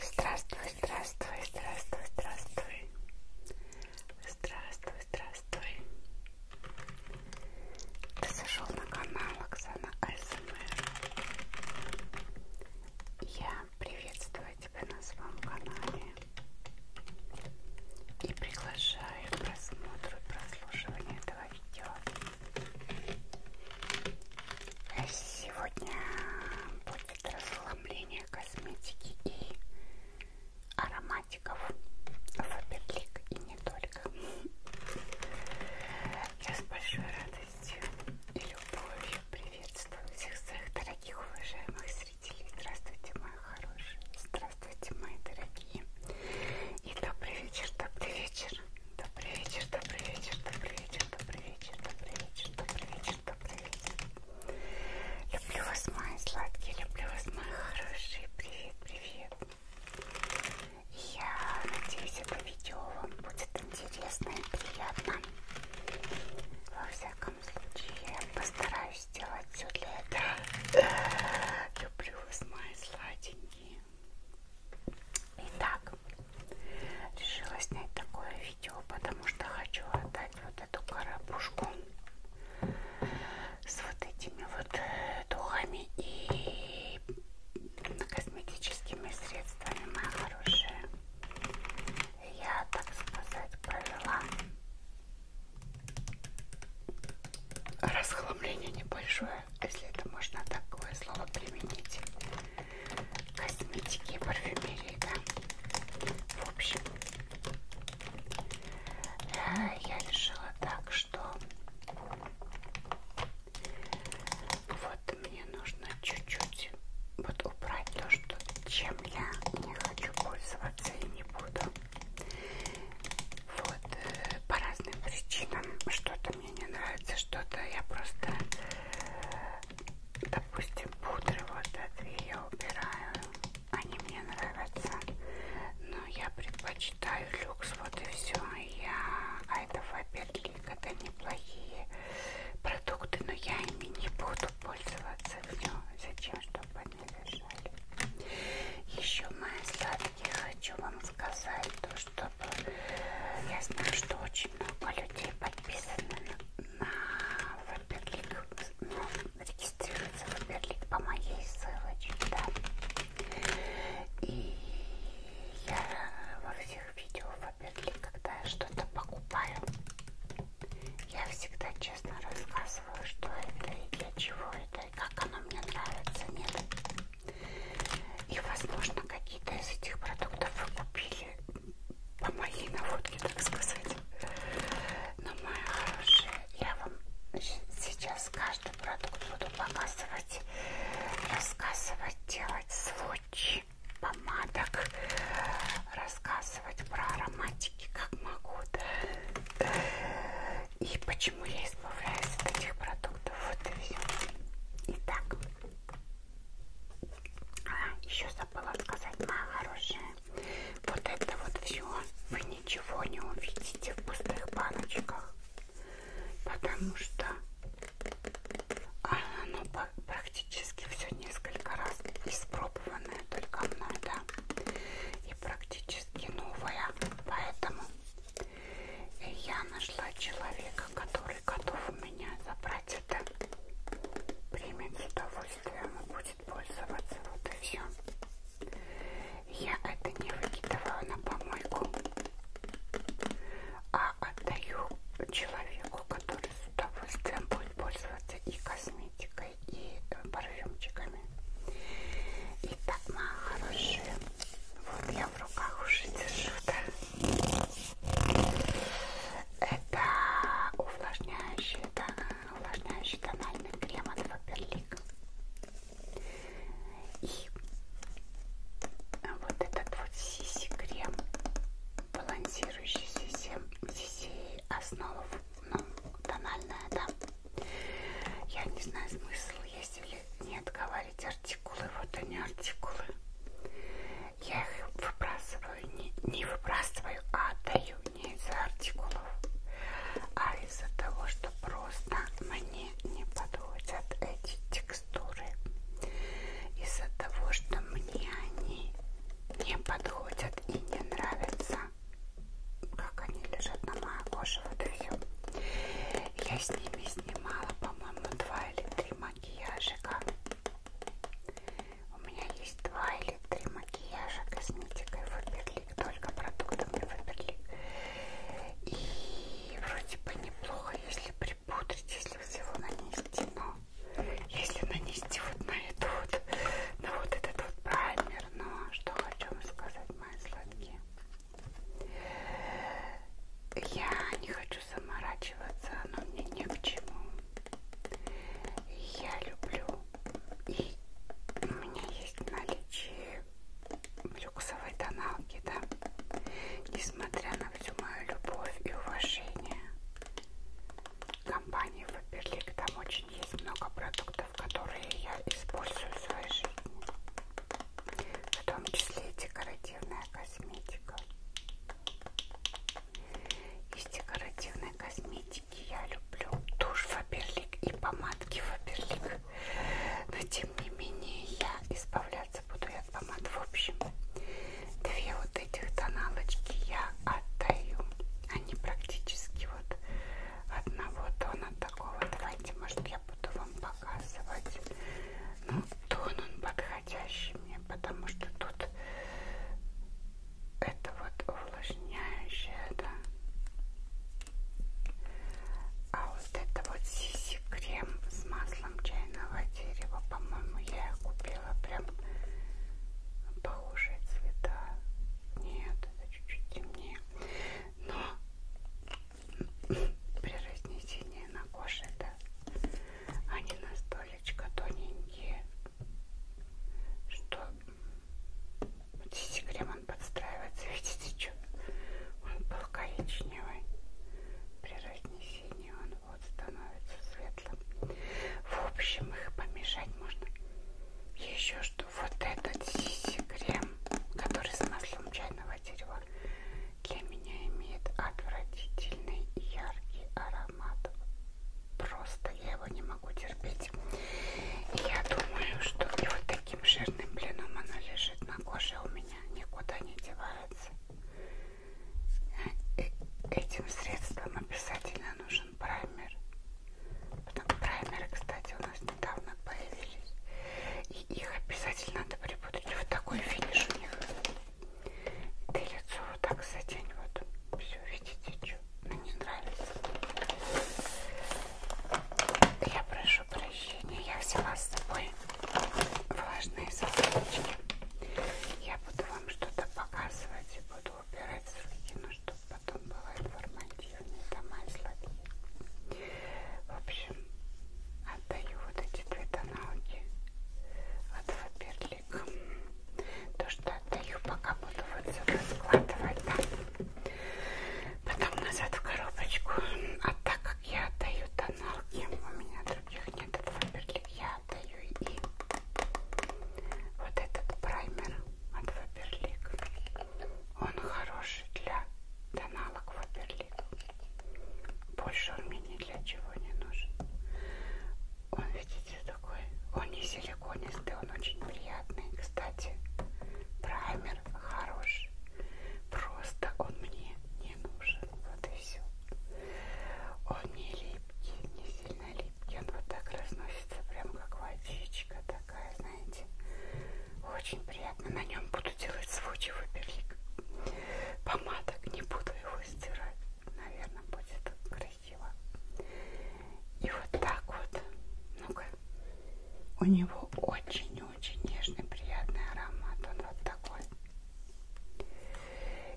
Здравствуй, здравствуй, здравствуй, здравствуй. Здравствуй, здравствуй. Ты зашел на канал Оксана АСМР. Я приветствую тебя на своем канале и приглашаю к просмотру и прослушиванию этого видео. Сегодня будет расслабление косметики и ароматиков Фаберлик и не только. Я с большой радостью и любовью приветствую всех своих дорогих, уважаемых зрителей. Здравствуйте, мои хорошие. Здравствуйте, мои дорогие. И добрый вечер, добрый вечер. Добрый вечер, добрый вечер, добрый вечер, добрый вечер, добрый вечер, добрый вечер, добрый вечер. Люблю вас, мои сладкие, люблю вас, мои хорошие. Привет, привет. Я надеюсь, это видео вам будет интересно и приятно. Во всяком случае, я постараюсь сделать все для этого. Люблю вас, мои сладенькие. Итак, решила снять такое видео, потому что хочу отдать вот эту коробушку с вот этими вот э, духами и косметическими средствами, моя хорошая. Я, так сказать, провела расхламление небольшое, если это можно такое слово применить косметики и парфюмерии, да. В общем, э, я решила так, что вот мне нужно чуть-чуть вот убрать то, что чем я не хочу пользоваться и не буду. Вот э, по разным причинам что-то мне не нравится, что-то я просто допустим, пудры вот эти я убираю, они мне нравятся, но я предпочитаю люкс, вот и все, я, а это фаберлик, это неплохие продукты, но я ими не буду пользоваться, все, зачем, чтобы они лежали. Еще, мои сладкие, хочу вам сказать то, что я знаю, что очень много людей подписаны на, на Веберлик, ну, регистрируется Веберлик по моей ссылочке, да. И я во всех видео Веберлик, когда я что-то покупаю, я всегда честно рассказываю, что это и для чего это, и как оно мне нравится, нет. И, возможно, какие-то из этих продуктов вы купили по моей наводке, так сказать. Но, мои хорошие, я вам сейчас каждый продукт буду показывать, рассказывать, делать сводчи помадок, рассказывать про ароматики, как могу, да? И почему я избавляюсь от этих продуктов, вот и все. Итак, а, еще забыла сказать, моя хорошая. Вот это вот все. Вы ничего не увидите в пустых баночках. Потому что оно ну, практически все несколько раз испробованное только мной, да. И практически новое. Поэтому я нашла человека, который который готов у меня забрать это, примет с удовольствием и будет пользоваться. Вот и все. Я это не выкидываю на помойку, а отдаю человеку, который с удовольствием будет пользоваться и косметикой, и э, парфюмчиками. Итак, мои хорошие, вот я в руках уже держу, да? Это увлажняющий, да, увлажняющий тональный крем от Фаберлик. И вот этот вот сиси крем, балансирующий сиси, сиси основу, ну, тональная, да. Я не знаю смысл есть или нет говорить артикулы, вот они артикулы я их выбрасываю, не, не выбрасываю, а отдаю не из-за артикулов, а из-за того, что просто мне не подходят эти текстуры. Из-за того, что мне они не подходят и не нравятся, как они лежат на моей коже, вот все. Я с ними снимала, по-моему, два или три макияжика. У меня есть два или три макияжа косметикой Фаберлик, только продуктами Фаберлик. И вроде бы неплохо, если припудрить, если всего нанести, но если нанести вот на эту вот, на вот этот вот праймер, но что хочу вам сказать, мои сладкие. Я не хочу хочу заморачиваться, оно мне не к чему. Я люблю, и у меня есть наличие люксовой тоналки, да, несмотря на всю мою любовь и уважение компании Фаберлик, там очень есть много продуктов, которые я использую в своей жизни, в том числе и декоративная косметика. Из декоративной косметики я люблю тушь Фаберлик и помадки Фаберлик. Но тем не менее я избавляться буду и от помад. В общем, две вот этих тоналочки я отдаю. Они практически вот одного тона такого. Давайте, может, я буду вам показывать. Ну, тон он подходит подходящими, потому что тут это вот увлажняющее, да. А вот это вот сиси крем с маслом чайного дерева, по-моему, я купила прям похожие цвета. Нет, это чуть-чуть темнее. Но при разнесении на коже это да, они а настолько тоненькие, что вот здесь крем он подстраивается, видите, что он был коричневый, при разнесении он вот становится светлым. В общем, их помешать можно. И еще что вот этот сиси крем, который с маслом чайного дерева, для меня имеет отвратительный яркий аромат формат. Просто я его не могу терпеть. И я думаю, что и вот таким жирным блином оно лежит на коже у меня, никуда не девается. Э этим средством обязательно нужен праймер. Потом праймеры, кстати, у нас недавно появились. И их обязательно надо припутать. Вот такой финиш у них. Ты лицо вот так затянь, вот все, видите, что? Ну, не нравится. Я прошу прощения, я взяла с собой влажные салфеточки. Я буду вам что-то показывать и буду убирать середину, чтобы потом было информативно. Это мои слабее. В общем, отдаю вот эти две тоналки от Фаберли столик. То, что отдаю, пока буду вот сюда складывать, да. Потом назад в коробочку. А так как я отдаю тоналки, у меня других нет этого Фаберлик, я отдаю и вот этот праймер от Фаберлик. Он хороший для тоналок Фаберлик. Больше он мне ни для чего не нужен. Он, видите, такой, он не силиконистый, он очень приятный. Кстати, праймер хороший, просто он мне не нужен, вот и все. Он не липкий, не сильно липкий, он вот так разносится, прям как водичка такая, знаете. Очень приятно, на нем буду делать свой чего Помадок не буду его стирать наверное, будет красиво. И вот так вот. Ну-ка. У него очень-очень нежный, приятный аромат. Он вот такой.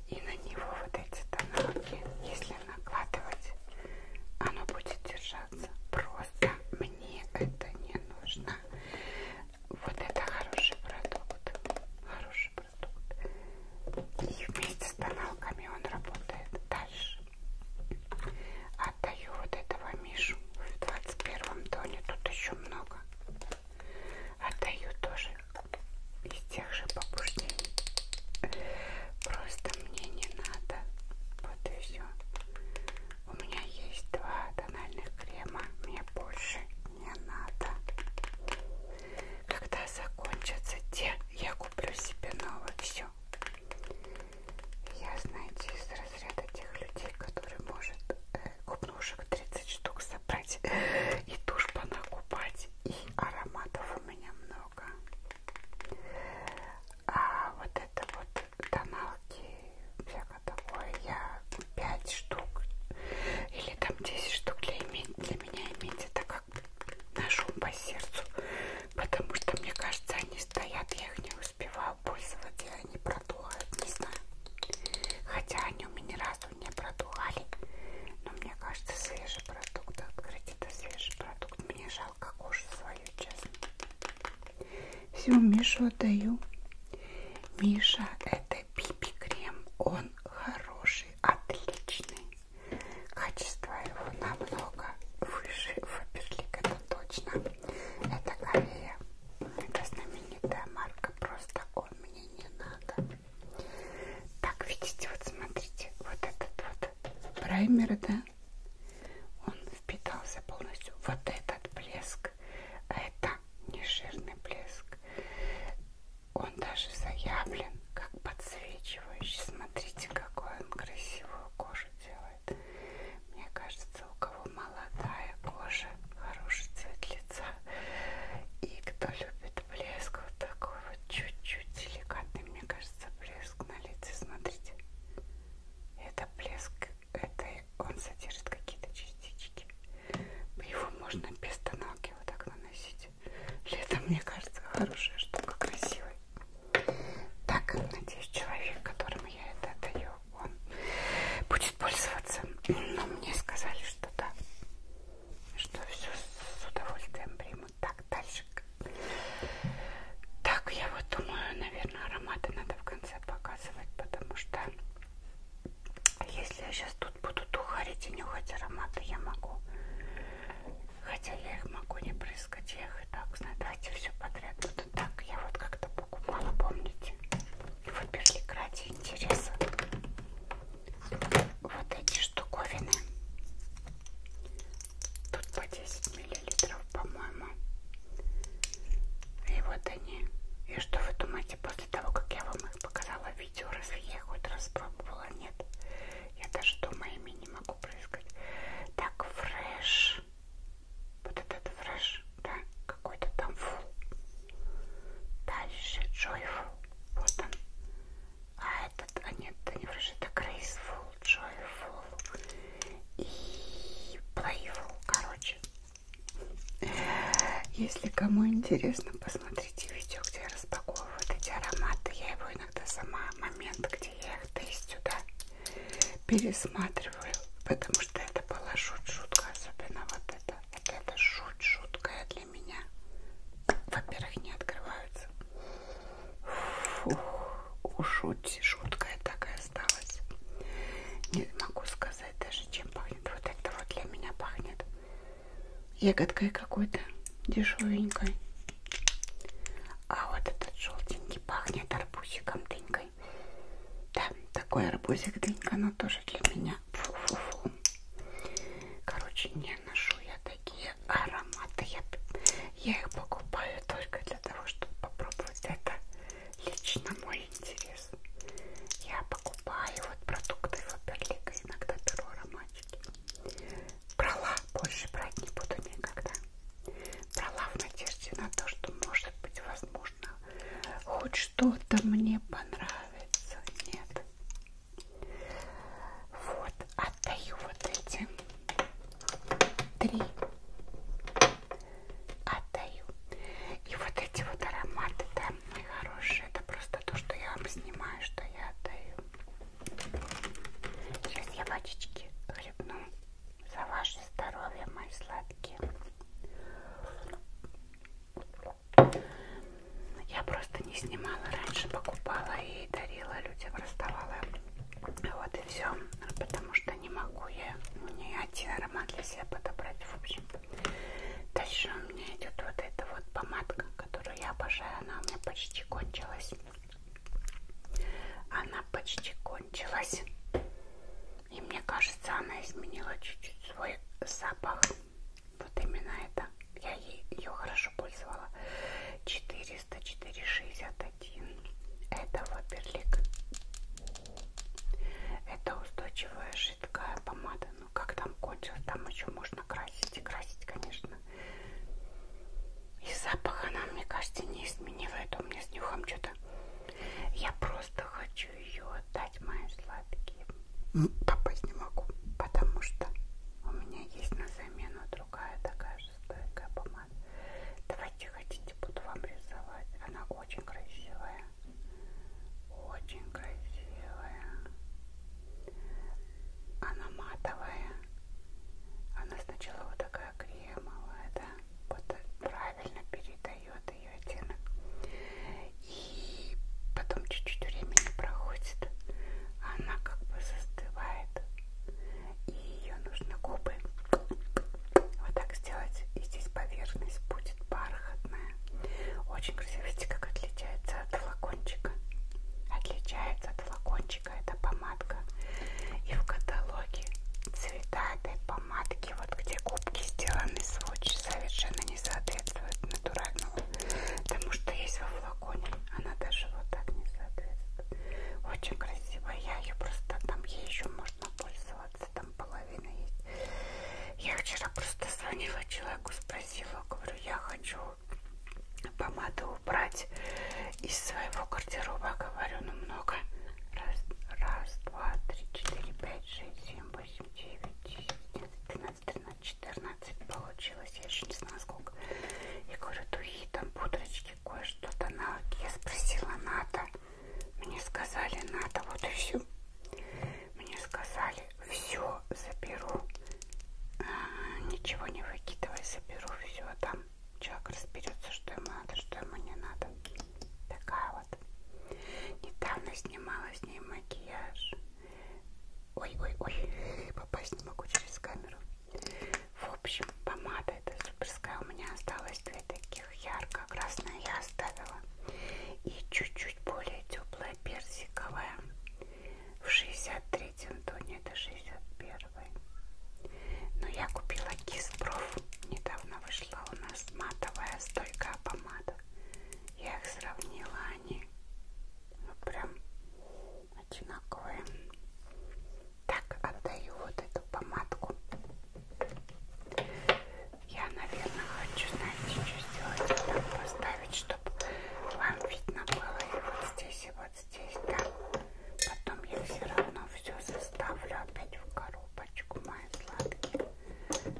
И на него вот эти тоналки, если накладывать, оно будет держаться. Просто мне это не нужно. Вот это хороший продукт. Хороший продукт растут. И вместе с тоналками он работает дальше. Отдаю вот этого Мишу в 21 тоне. Тут еще много. Отдаю тоже из тех же побуждений. Просто мне не надо. Вот и все. У меня есть два тональных крема. Мне больше не надо когда закончатся те, я куплю себе новое все. Я, знаете, из разряда тех людей, которые может э, купнушек 30 штук собрать и тушь понакупать, и ароматов у меня много. А вот это вот тоналки, всякое такое, я 5 штук или там 10 штук для, иметь, для меня иметь это как ножом по сердцу, потому что мне кажется, они стоят, я их не успеваю пользоваться, и они продувают, не знаю. Хотя они у меня ни разу не продували, но мне кажется, свежий продукт, открыть это свежий продукт, мне жалко кожу свою, честно. Все, Мишу отдаю. Миша, это пипи крем, он хороший, отличный. Качество его намного выше Фаберлик, это точно. Это Корея. Это знаменитая марка, просто он мне не надо. Так, видите, вот смотрите, вот этот вот праймер, да? Он впитался полностью. Вот этот блеск, а это не жирный блеск. Он даже заявлен как подсвечивающий. Смотрите, какой он красивую кожу делает. Мне кажется, у кого молодая кожа, хороший цвет лица. И кто любит блеск, вот такой вот чуть-чуть деликатный, мне кажется, блеск на лице. Смотрите, это блеск, это он содержит какие-то частички. Его можно без тоналки вот так наносить. Лето, мне кажется, хорошая штука, красивая. Так, надеюсь, человек, которому я это отдаю, он будет пользоваться. Но мне сказали, что да, что все с удовольствием примут. Так, дальше. Так, я вот думаю, наверное, ароматы надо в конце показывать, потому что если я сейчас тут вот будут ухарить и нюхать ароматы, я могу. Хотя я их могу не прыскать, я их и так знаю. Давайте все подряд. Вот ну, так я вот как-то покупала, помните? Выберли ради интереса. Вот эти штуковины. Тут по 10 миллилитров, по-моему. И вот они. И что вы думаете, после того, как я вам их показала в видео, разве а я их хоть раз пробовала? Нет. Я даже дома ими не могу прыскать. Так, фреш. Вот этот фреш, да, какой-то там фул. Дальше Joyful. Вот он. А этот, а нет, это не фреш, это Graceful, Joyful и Playful, короче. Если кому интересно, посмотрите посмотрите видео, где я распаковываю вот эти ароматы. Я его иногда сама, момент, где я их тестю, да, пересматриваю, потому что это была шут-шутка, особенно вот это. Вот это шут-шуткая для меня. Во-первых, не открываются. Фух, шуть, шуткая такая осталась. Не могу сказать даже, чем пахнет. Вот это вот для меня пахнет ягодкой какой-то дешевенькой. А вот этот желтенький пахнет арбузиком дынькой. Да, такой арбузик дынька, но тоже для меня. Фу -фу -фу. Короче, не ношу я такие ароматы. Я, я их покупаю только для того, чтобы попробовать. Это лично мой интерес. Я покупаю вот продукты в Оперлика, иногда беру ароматики. Брала, больше брать не буду никогда. Брала в надежде на то, что может быть возможно. Хоть что-то мне понравится. Нет. Вот, отдаю вот эти три. Отдаю. И вот эти вот ароматы, да, мои хорошие, это просто то, что я вам снимаю, что я отдаю. Сейчас я водички хлебну за ваше здоровье, мои сладкие. Я просто не снимала раньше, покупала и дарила людям, расставала. Вот и все, потому что не могу я ни ну, один аромат для себя подобрать, в общем. Дальше у меня идет вот эта вот помадка, которую я обожаю. Она у меня почти кончилась. Она почти кончилась. И мне кажется, она изменила чуть-чуть свой запах. Вот именно это. Я ей, ее хорошо пользовала. 400, 461. Это ваперлик. Это устойчивая жидкая помада. Ну как там кончилось? Там еще можно красить и красить, конечно. И запах она, мне кажется, не изменила. Это у меня с нюхом что-то. Я просто хочу ее отдать моим сладким. Попасть не могу, потому что у меня есть на замену другая такая же стойкая помада. Давайте хотите, буду вам рисовать. Она очень красивая. Очень красивая. Она матовая. Она сначала вот такая кремовая, да? Вот правильно передает ее оттенок. И потом чуть-чуть времени проходит. Она как бы застывает. И ее нужно губы вот так сделать. И здесь поверхность будет бархатная. Очень красиво. Видите, как отличается отличается от флакончика. Отличается от флакончика эта помадка. И в каталоге цвета этой помадки, вот где губки сделаны с Swatch, совершенно не соответствуют натуральному. Потому что есть во флаконе, она даже вот так не соответствует. Очень красивая, я ее просто там, ей еще можно пользоваться, там половина есть. Я вчера просто звонила человеку, спросила, говорю, я хочу помады убрать из своего гардероба. Говорю, ну много. Раз, раз, два, три, четыре, пять, шесть, семь, восемь, девять, десять, одиннадцать, тринадцать, тринадцать, четырнадцать. Получилось. Я еще не знаю сколько. Я говорю, духи там, пудрочки, кое-что то навыки. Я спросила, надо. Мне сказали, надо. Вот и все. Мне сказали, все заберу. А, ничего не выкидывай, заберу все там. Человек разберется, что ему надо, что ему не надо. Такая вот. Недавно снимала с ней макияж. Ой-ой-ой, попасть не могу через камеру. В общем, помада эта суперская. У меня осталось две таких ярко-красная я оставила. И чуть-чуть более теплая персиковая в 63-м тоне, это 61-й. Но я купила Киспроф, недавно вышла у нас матовая стойкая помада. Я их сравнила, они ну, прям одинаковые. Так, отдаю вот эту помадку. Я, наверное, хочу, знаете, что сделать? Так поставить, чтобы вам видно было. И вот здесь записи вот здесь, да. Потом я все равно все заставлю опять в коробочку, мои сладкие,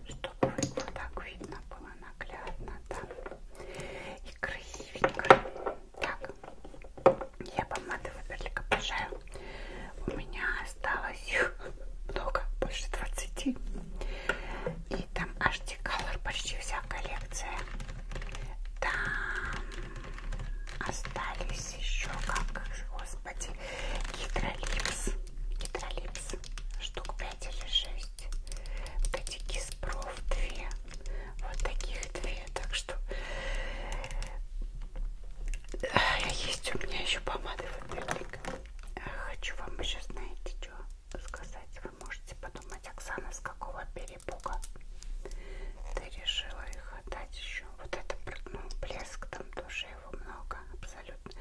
чтобы вот так видно было наглядно, да. И красивенько. Так, я помады Ваберлик обожаю. У меня осталось их много, больше 20. И там HD Color почти вся коллекция. Там остались еще, как, господи, гидролипс. Гидролипс. Штук 5 или 6. Вот эти киспров 2. Вот таких две. Так что э, есть у меня еще помады. Вот э, Хочу вам сейчас, знаете, что сказать вам можете подумать, Оксана, с какого перепуга ты решила их отдать еще? Вот это, ну, блеск, там тоже его много, абсолютно.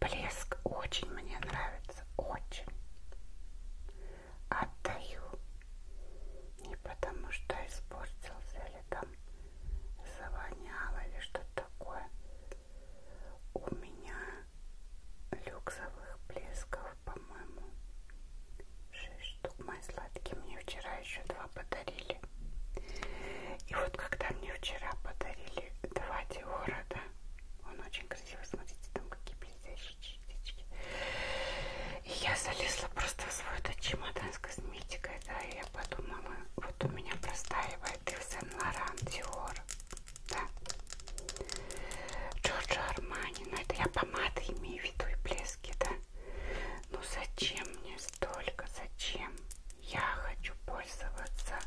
Блеск очень мне нравится, очень. Отдаю. Не потому что испортился или там завоняло или что-то такое. У меня люксовых блесков, по по-моему. Шесть штук мои сладкие. Мне вчера еще два подарили. И вот когда мне вчера подарили два Диора, да, он очень красиво, смотрите, там какие блестящие частички. И я залезла просто в свой этот чемодан с косметикой, да, и я подумала, вот у меня простаивает и в Сен-Лоран Диор, да. Джорджо Армани, ну это я помады имею в виду и блески, да? Ну зачем мне столько, зачем? Я хочу пользоваться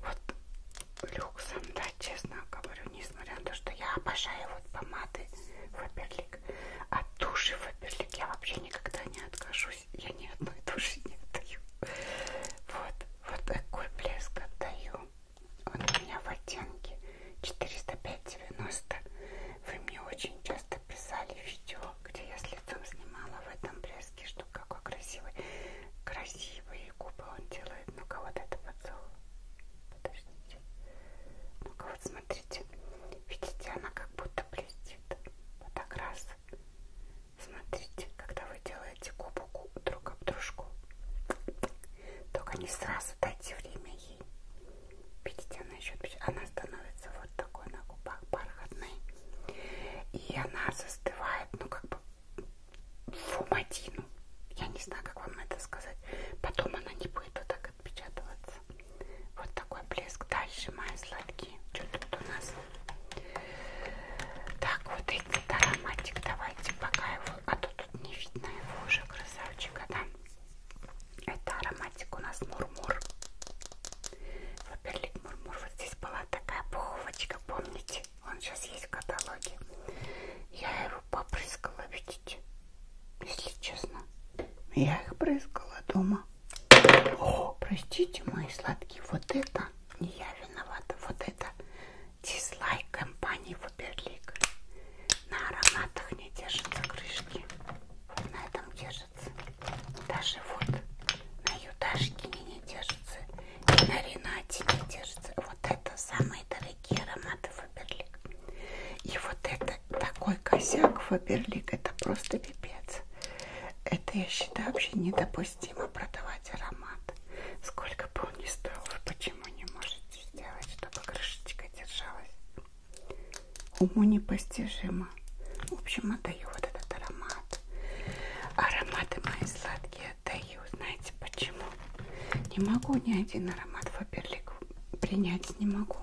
вот люксом, да, честно говорю, несмотря на то, что я обожаю вот помады Фаберлик, от а туши Фаберлик я вообще никогда не откажусь, я ни одной туши не отдаю. Вот, вот такой блеск отдаю. Он у меня в оттенке 40590. Вы мне очень часто писали видео, где я с лицом снимала в этом блеске, что какой красивый. Красивые губы он делает. Ну-ка вот это поцелуй. Подождите. Ну-ка вот смотрите. Видите, она как будто блестит. Вот так раз. Смотрите, когда вы делаете губу друг об дружку. Только не сразу дайте время ей. Видите, она еще она становится вот такой на губах бархатной. И она застывает, ну как бы в уматину. Я не знаю, как вам это сказать. Потом она не будет вот так отпечатываться. Вот такой блеск. Дальше мои сладкие. Что тут у нас? Так, вот этот ароматик. Давайте пока его Зато тут не видно его уже красавчика, да? Это ароматик у нас мурмур. Ваперлик мурмур. Вот здесь была такая пуховочка, помните? Он сейчас есть в каталоге. Я его попрыскала, видите? Если честно. Я их брызгала дома. О, простите, мои сладкие, вот это не я виновата, вот это Дизлайк компании Фаберлик. На ароматах не держатся крышки. На этом держится. Даже вот на Юташкине не держится. И на Ренате не держится. Вот это самые дорогие ароматы Фаберлик. И вот это такой косяк Фаберлик. Это просто пипец. Это, я считаю, вообще недопустимо продавать аромат. Сколько бы он ни стоил, вы почему не можете сделать, чтобы крышечка держалась? Уму непостижимо. В общем, отдаю вот этот аромат. Ароматы мои сладкие отдаю. Знаете почему? Не могу ни один аромат Фаберлик принять не могу.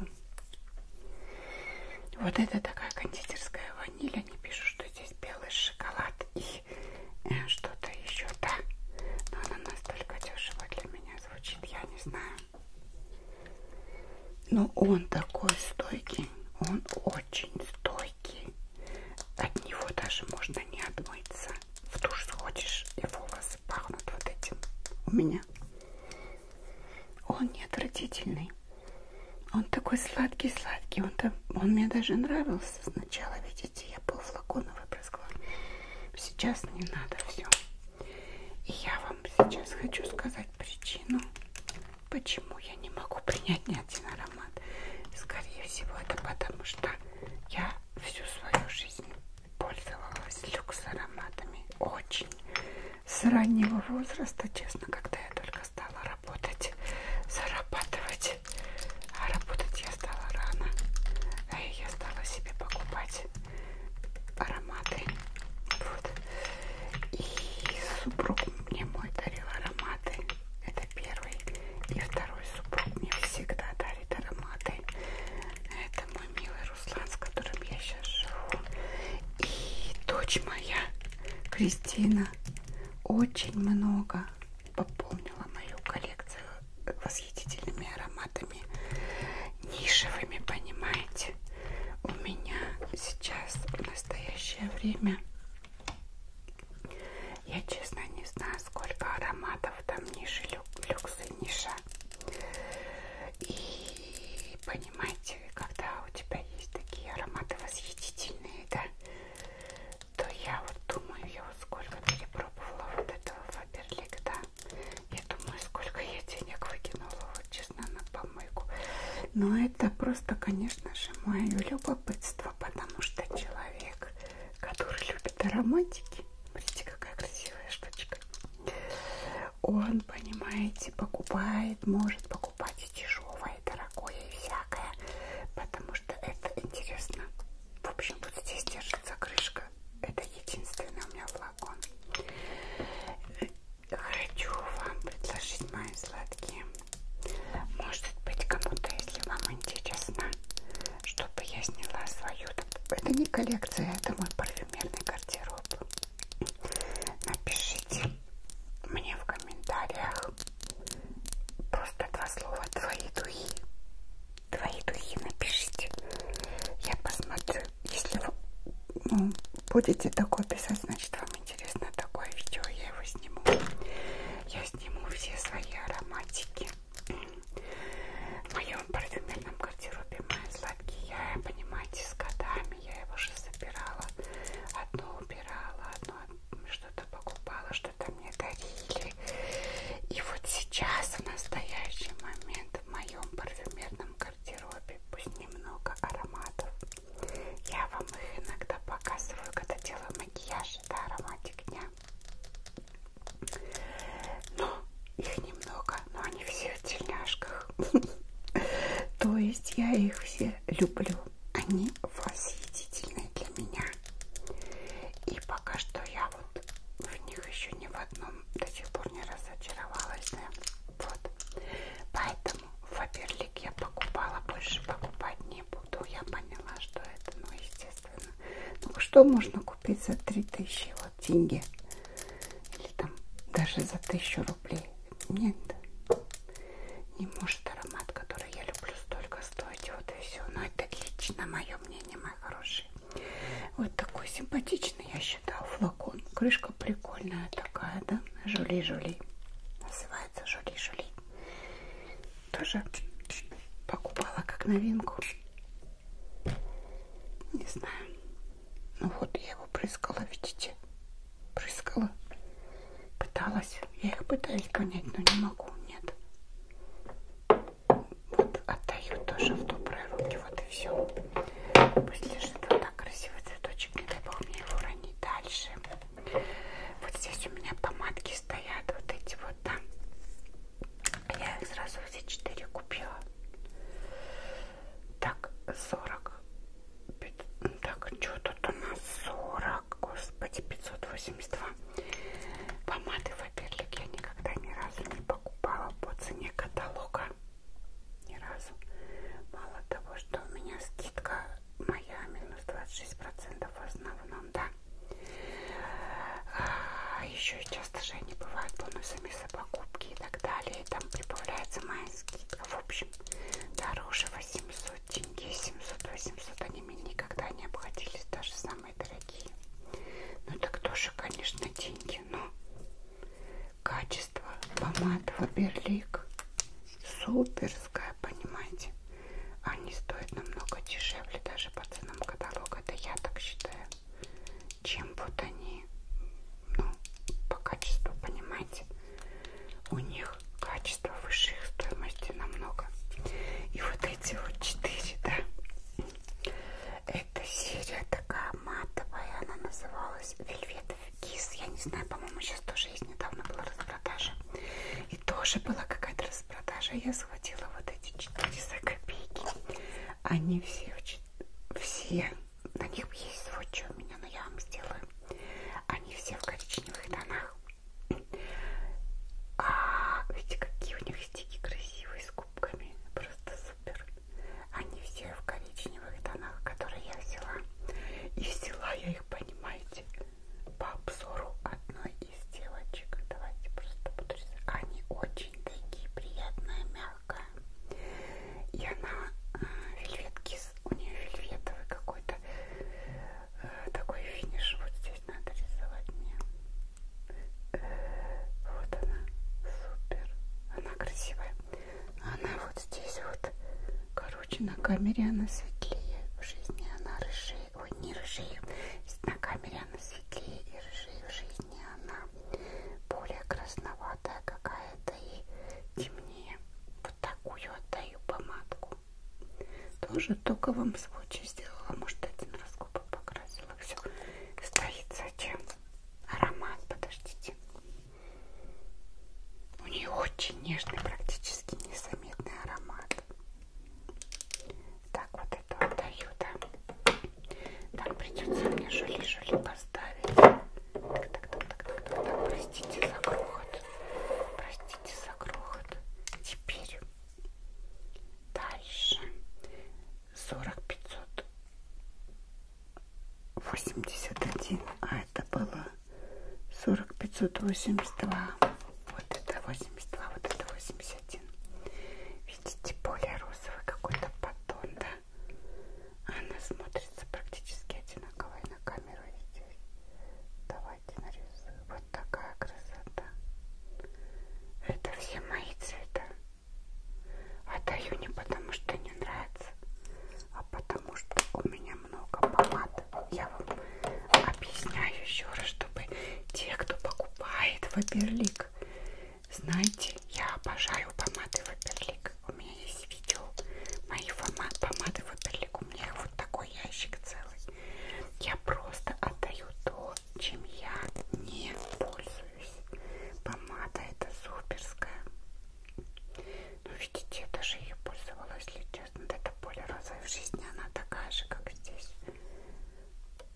Вот это такая кондитерская ваниль. Они пишут, что здесь белый шоколад и э, что-то еще, да. Но она настолько дешево для меня звучит, я не знаю. Но он такой стойкий, он очень стойкий. От него даже можно не отмыться. В душ сходишь, и волосы пахнут вот этим. У меня. Он неотвратительный. Он такой сладкий-сладкий. Он, там, он мне даже нравился сначала, видите, я пол флакона выбрала разбрызгала. Сейчас не надо все. И я вам сейчас хочу сказать причину, почему я не могу принять ни один аромат. Скорее всего, это потому что я всю свою жизнь пользовалась люкс ароматами. Очень. С раннего возраста, честно, когда я только стала работать, зарабатывать. А работать я стала рано. А я стала себе покупать смешать ароматы. Вот. И супруг мне мой дарил ароматы. Это первый. И второй супруг мне всегда дарит ароматы. Это мой милый Руслан, с которым я сейчас живу. И дочь моя, Кристина, очень много пополнила мою коллекцию восхитительными ароматами нишевыми, понимаете? У меня сейчас в настоящее время я честно не знаю, сколько ароматов там ниши, люксы, ниша. И понимаете, когда у тебя есть такие ароматы восхитительные, да, то я вот думаю, я вот сколько перепробовала вот этого Фаберлик, да, я думаю, сколько я денег выкинула, вот честно, на помойку. Но это просто, конечно же, мое любопытство, потому что человек, который любит ароматики, смотрите, какая красивая штучка, он, понимаете, покупает, может покупать и дешевое, и дорогое, и всякое, потому что это интересно. В общем, вот здесь держится крышка это единственный у меня флакон. Хочу вам предложить мои сладкие. Может быть, кому-то, если вам интересно, чтобы я сняла свою. Это не коллекция, это мой парфюмерный гардероб. Напишите мне в комментариях просто два слова твои духи твои духи напишите. Я посмотрю. Если вы ну, будете такое писать, значит вам интересно такое видео. Я его сниму. Я сниму все свои ароматики. В моем парфюмерном гардеробе мои сладкие. Я, понимаете, с годами я его же собирала. Одно убирала, одно что-то покупала, что-то мне дарили пары. И вот сейчас, в настоящий момент, в моем парфюмерном гардеробе пусть немного ароматов. Я вам их иногда показываю, когда делаю макияж. Это ароматик дня. Но их немного, но они все в тельняшках. То есть я их все люблю. Они восхитительные для меня. И пока что я вот в них еще ни в одном до сих пор не разочаровалась, да? Вот. Поэтому Фаберлик я покупала, больше покупать не буду. Я поняла, что это, ну, естественно. Ну, что можно купить за 3000 вот деньги? Или там даже за 1000 рублей? Нет. Не может аромат, который я люблю, столько стоить. Вот и все. Но это лично мое мнение, мои хорошие. Вот такой симпатичный, я считаю, флакон. Крышка прикольная такая, да? Жули-жули. Называется жули-жули. Тоже покупала как новинку. Не знаю. Ну вот я его прыскала, видите? Прыскала. Пыталась. Я их пытаюсь понять, но не могу. Нет. Вот, отдаю тоже в добрые руки. Вот и все. Пусть лежит вот так красивый цветочек. Не дай бог мне его уронить дальше. Вот здесь у меня помадки стоят. Вот эти вот, да. Я их сразу все четыре купила. Так, 40. Так, что тут у нас? 40. Господи, 582. Помады Фаберлик я никогда ни разу не покупала покупала по цене каталога ни разу. Мало того, что у меня скидка моя минус 26% в основном, да. А еще часто же они бывают бонусами за покупки и так далее. И там прибавляется моя скидка. В общем, дороже 800 тенге, 700-800 они мне никогда не обходились даже самые самые дорогие. Ну так тоже, конечно, деньги, но качество помад Фаберлик суперское, понимаете? Они стоят намного дешевле даже по ценам каталога, это я так считаю, чем вот они, ну, по качеству, понимаете? У них качество выше их стоимости намного. И вот эти вот четыре, да? Эта серия такая матовая, она называлась Вельвет Кис. Я не знаю, по-моему, сейчас тоже есть. Недавно была распродажа. И тоже была какая-то распродажа. Я схватила вот эти 400 копейки. Они все, все, на них есть сводчи у меня, но я вам сделаю. Они все в коричневых тонах. А, видите, какие у них стики красивые с губками. Просто супер. Они все в коричневых тонах, которые я взяла. И взяла я их, понимаете, по обзору одной из девочек. Давайте просто буду рисовать. Они очень такие приятные, мягкие. И она э, вельветки, у нее вельветовый какой-то э, такой финиш. Вот здесь надо рисовать мне. Вот она, супер. Она красивая. Она вот здесь вот, короче, на камере она светлее. В жизни она рыжее. Ой, не рыжее. На камере она светлее и рыжее. В жизни она более красноватая какая-то и темнее. Вот такую отдаю помадку. Тоже только вам в случае сделала. Может, один раз губы покрасила было все стоит. Зачем? Аромат, подождите. У нее очень нежный, практически незаметный аромат. Так, вот это отдаю, да. Так, придется мне жули-жули поставить. Так, так, так, так, так, так, так. Простите за грохот. Простите за грохот. Теперь дальше сорок пятьсот восемьдесят один, а это было сорок пятьсот восемьдесят два. Вот это восемьдесят два, вот это восемьдесят один. Видите, более розовый какой-то поддон, да? Она смотрится практически одинаковая на камеру здесь. Давайте нарисую. Вот такая красота. Это все мои цвета. Отдаю не потому, что не нравится, а потому, что у меня много помад. Я вам объясняю еще раз, чтобы те, кто покупает ваперлик, знаете, я обожаю помады ваперлик. У меня есть видео мои помад, помады ваперлик. У меня их вот такой ящик целый. Я просто отдаю то, чем я не пользуюсь радуюсь. Помада это суперская. Ну, видите, я даже ее пользовалась, если честно. Это более розовая в жизни, она такая же, как здесь.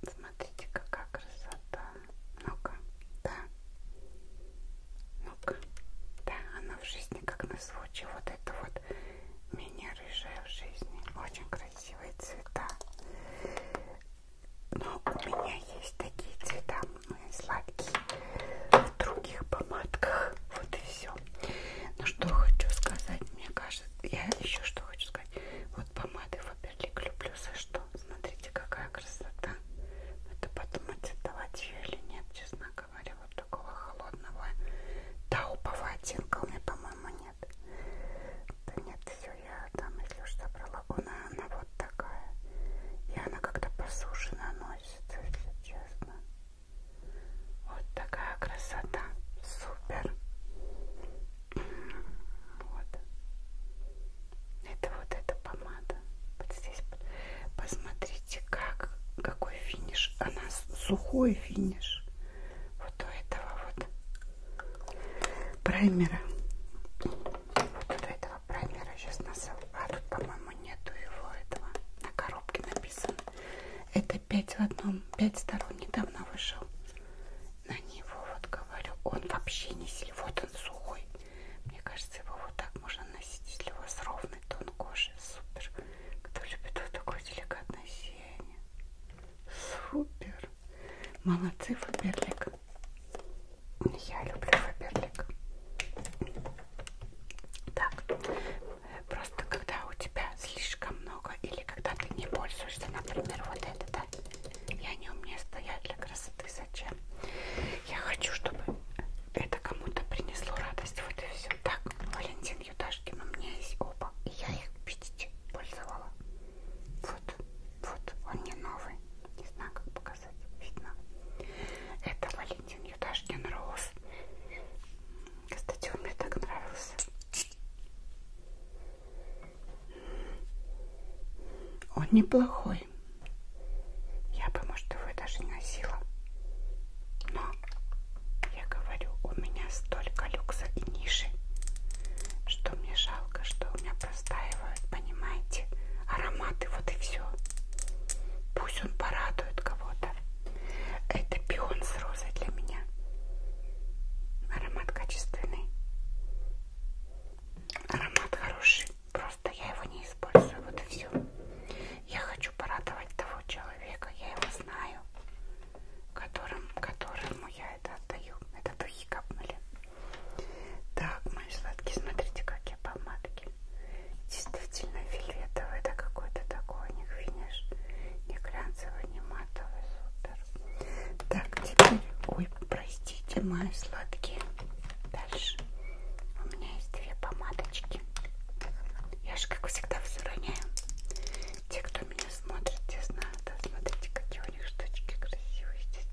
Смотрите, какая красота. Ну-ка, да. Ну-ка, да, она в жизни как на случай. Вот это вот меня рыжая в жизни. Очень красивые цвета. Но у меня есть такие цвета сладкие в других помадках. Вот и все. Но ну, что хочу сказать, мне кажется, я еще что хочу сказать. Вот помады Фаберлик люблю за что. Смотрите, какая красота. Это подумать, отдавать ее или нет, честно говоря. Вот такого холодного таупового оттенка у меня, по-моему, нет. Да нет, все ее я там, если уж забрала, она, она вот такая. И она как-то по суше наносится, если честно. Вот такая красота. Супер. Вот. Это вот эта помада. Вот здесь посмотрите, как, какой финиш. Она сухой финиш. Вот у этого вот праймера до этого праймера сейчас насыл. А тут, по-моему, нету его этого. На коробке написано. Это 5 в одном. 5 сторон недавно вышел. На него вот говорю. Он вообще не сильный. Вот он сухой. Мне кажется, его вот так можно носить, если у вас ровный тон кожи. Супер. Кто любит вот такое деликатное сияние. Супер. Молодцы, Фаберлик. Я люблю фаберлик. Так, просто когда у тебя слишком много или когда ты не пользуешься, например, вот это, да? И они у меня стоят для красоты. Зачем? Я хочу, чтобы это кому-то принесло радость. Вот и все. Так, Валентин Юташкин у меня есть оба. И я их, видите, пользовала. Вот. Вот, он не новый. Не знаю, как показать. Видно. Это Валентин Юдашкин Роуз. Кстати, он мне так нравился. Он неплохой. Я бы, может, его даже не носила. Но, я говорю, у меня столько люкса и ниши, что мне жалко, что у меня простаивают, понимаете? Ароматы, вот и все. Пусть он порадует кого-то. Это пион с розой для меня. Аромат качественный. Аромат хороший. Просто я его не использую, вот и все. Я хочу порадовать того человека, я его знаю, которым, которому я это отдаю. Это духи капнули. Так, мои сладкие, смотрите, какие помадки. Действительно фиолетовый, это какой-то такой у них финиш. Не глянцевый, не матовый, супер. Так, теперь, ой, простите, мои сладкие. Дальше у меня есть две помадочки. Я же, как всегда, все роняю. Те, кто меня смотрит, те знают. Да, смотрите, какие у них штучки красивые здесь.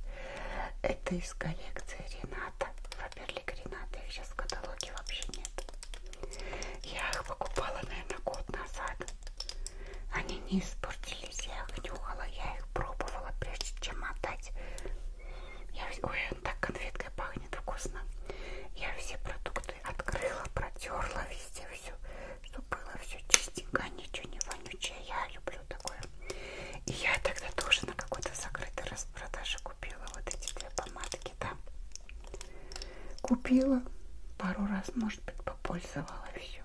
Это из коллекции Рената. Фаберлик Рената. Их сейчас в каталоге вообще нет. Я их покупала, наверное, год назад. Они не испортились. Я их нюхала. Я их пробовала, прежде чем отдать. Я... Ой, он так конфеткой пахнет вкусно. Я все продукты открыла, протерла везде все, чтобы было все чистенько, а ничего не вонючее. Я люблю такое делаю. И я тогда тоже на какой-то закрытой распродаже купила вот эти две помадки, да. Купила пару раз, может быть, попользовала все.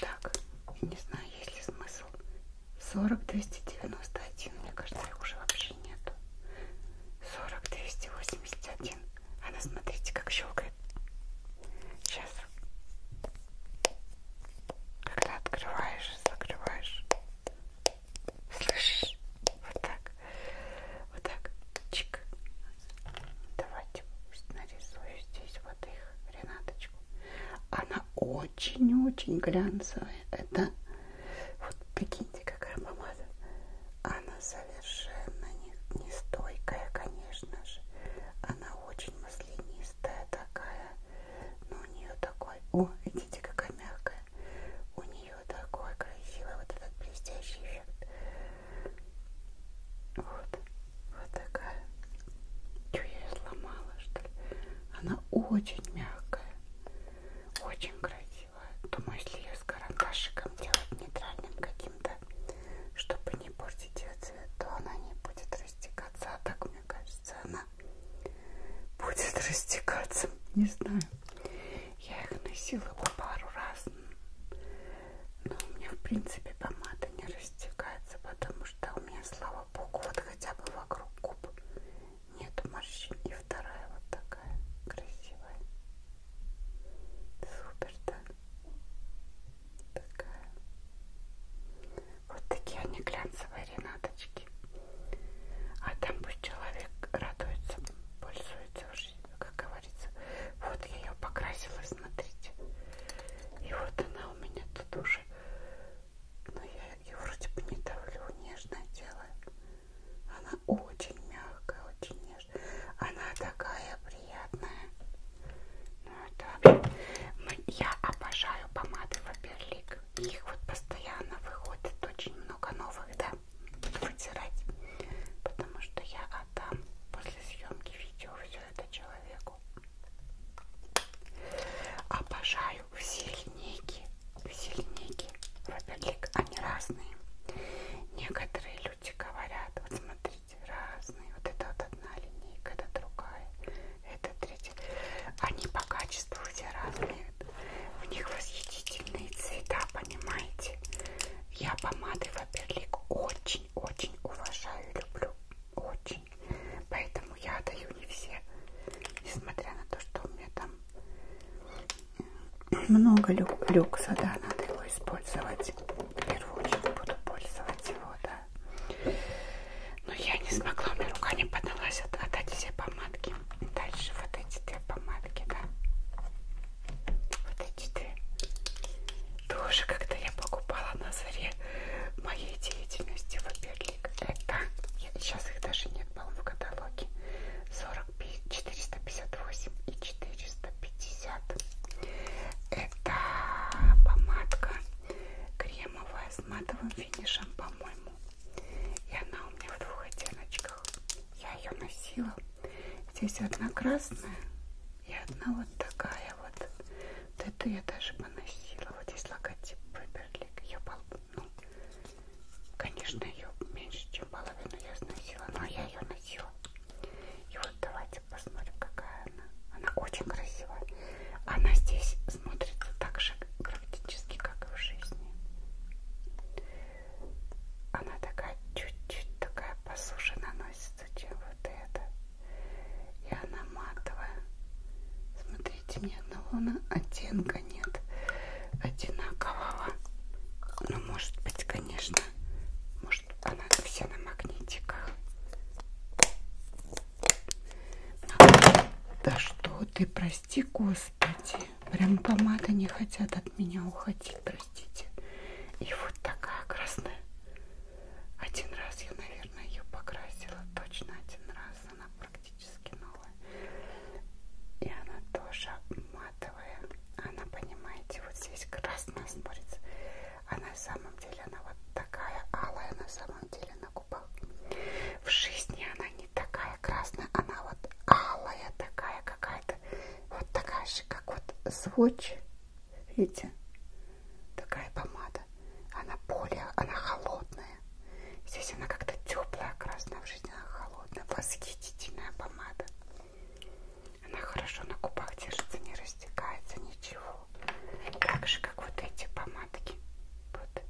Так, не знаю, есть ли смысл. 40-291, мне кажется, их уже вообще нету. 40-281. Она, смотрите, как щелкает. Сейчас. Когда открываешь и закрываешь. Слышишь? Вот так. Вот так. Чик. Давайте нарисую здесь вот их, Ренаточку. Она очень-очень глянцевая. Это вот прикиньте, какая помада. Она совершенно не, не стойкая, конечно же. Она очень маслянистая толстая такая, но ну, у нее такой, о, видите, какая мягкая, у нее такой красивый вот этот блестящий эффект. Вот, вот такая. Че я ее сломала, что ли? Она очень мягкая, очень красивая. Думаю, если ее с карандашиком делать нейтральным каким-то, чтобы не портить ее цвет, то она не будет растекаться, а так мне кажется, она будет растекаться. Не знаю. Я их носила по пару раз. Но у меня, в принципе, помада не растекается, потому что у меня, слава богу, вот хотя бы вокруг губ нет морщин. И вторая вот такая красивая. Супер, да? Такая. Вот такие они глянцевые ренаточки. А там пусть человек радуется, пользуется уже, как говорится. Вот я ее покрасила, смотрите. И вот она у меня тут уже. Но ну, я ее вроде бы не давлю, нежное делаю. Она очень мягкая, очень нежная. Она такая приятная. Ну это... Мы, я обожаю помады Фаберлик. Их вот постоянно выходит очень много новых, да, вытирать. Потому что я отдам после съемки видео все это человеку. Обожаю все линейки. Все линейки Фаберлик, они разные. Некоторые люди говорят, вот смотрите, разные. Вот это вот одна линейка, это другая это третье. Они по качеству все разные. У них восхитительные цвета, понимаете? Я помады Фаберлик очень-очень уважаю и люблю. Очень. Поэтому я даю не все. Несмотря на то, что у меня там э, много люк люкса, да, надо его использовать. В первую очередь буду пользоваться его, да. Но я не смогла, у меня рука не поднялась от, отдать все помадки. Дальше вот эти две помадки, да. Вот эти две. Тоже когда я покупала на заре моей деятельности в Аберлик. Это, я, сейчас их даже нет, по-моему, в каталоге. 40, 458 и 450. Это помадка крем кремовая с матовым финишем, по-моему. И она у меня в двух оттеночках. Я ее носила. Здесь одна красная и одна вот такая вот. Вот эту я даже поносила. Вот здесь логотип Пеперлик. Ее пол... ну, конечно, ее меньше, чем половину я сносила, но я ее носила. И вот давайте посмотрим, какая она. Она очень красивая. Она здесь смотрится так же практически, как и в жизни. Она такая чуть-чуть такая по суше наносится, чем вот эта. И она матовая. Смотрите, ни ну, одного оттенка нет одинакового. Ну, может быть, конечно, может, она вся на магнитиках. Да что ты, прости, Господи. Прям помады не хотят от меня уходить, простите. И вот такая красная. Один раз я, наверное, ее покрасила. Точно один раз. Она практически новая. И она тоже матовая. Она, понимаете, вот здесь красная смотрится. А на самом деле она вот такая алая. На самом деле она губах. В жизни она не такая красная, она вот алая такая какая-то, вот такая же, как вот сводч, видите, такая помада. Она более, она холодная. Здесь она как-то теплая красная, в жизни она холодная, восхитительная помада. Она хорошо на губах держится, не растекается, ничего. Так же, как вот эти помадки. Вот.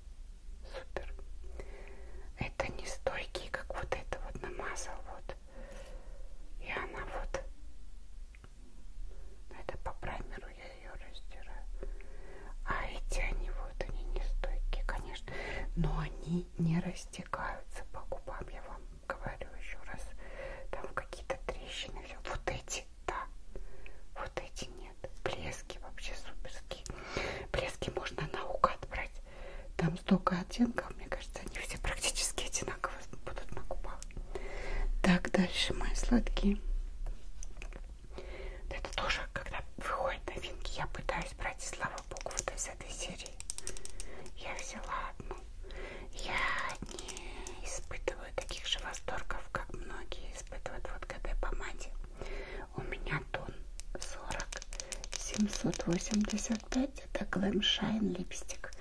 Супер. Это не стойкие, как вот это вот намазал. Вот. И она вот. Ну, это по праймеру я ее раздираю. А эти они вот, они не стойкие, конечно. Но они не растекаются по губам. Я вам говорю еще раз. Там какие-то трещины. Все. Вот эти да. Вот эти нет. Блески вообще суперские. Блески можно наугад брать. Там столько оттенков, мне кажется, они все практически одинаково будут на губах. Так, дальше мои сладкие. Это тоже, когда выходят новинки, я пытаюсь брать, слава богу, вот из этой серии. Я взяла одну. Я не испытываю испытываю таких же восторгов, как многие испытывают в ОТГБ помаде. У меня тон 40 785, это Glam Shine липстик.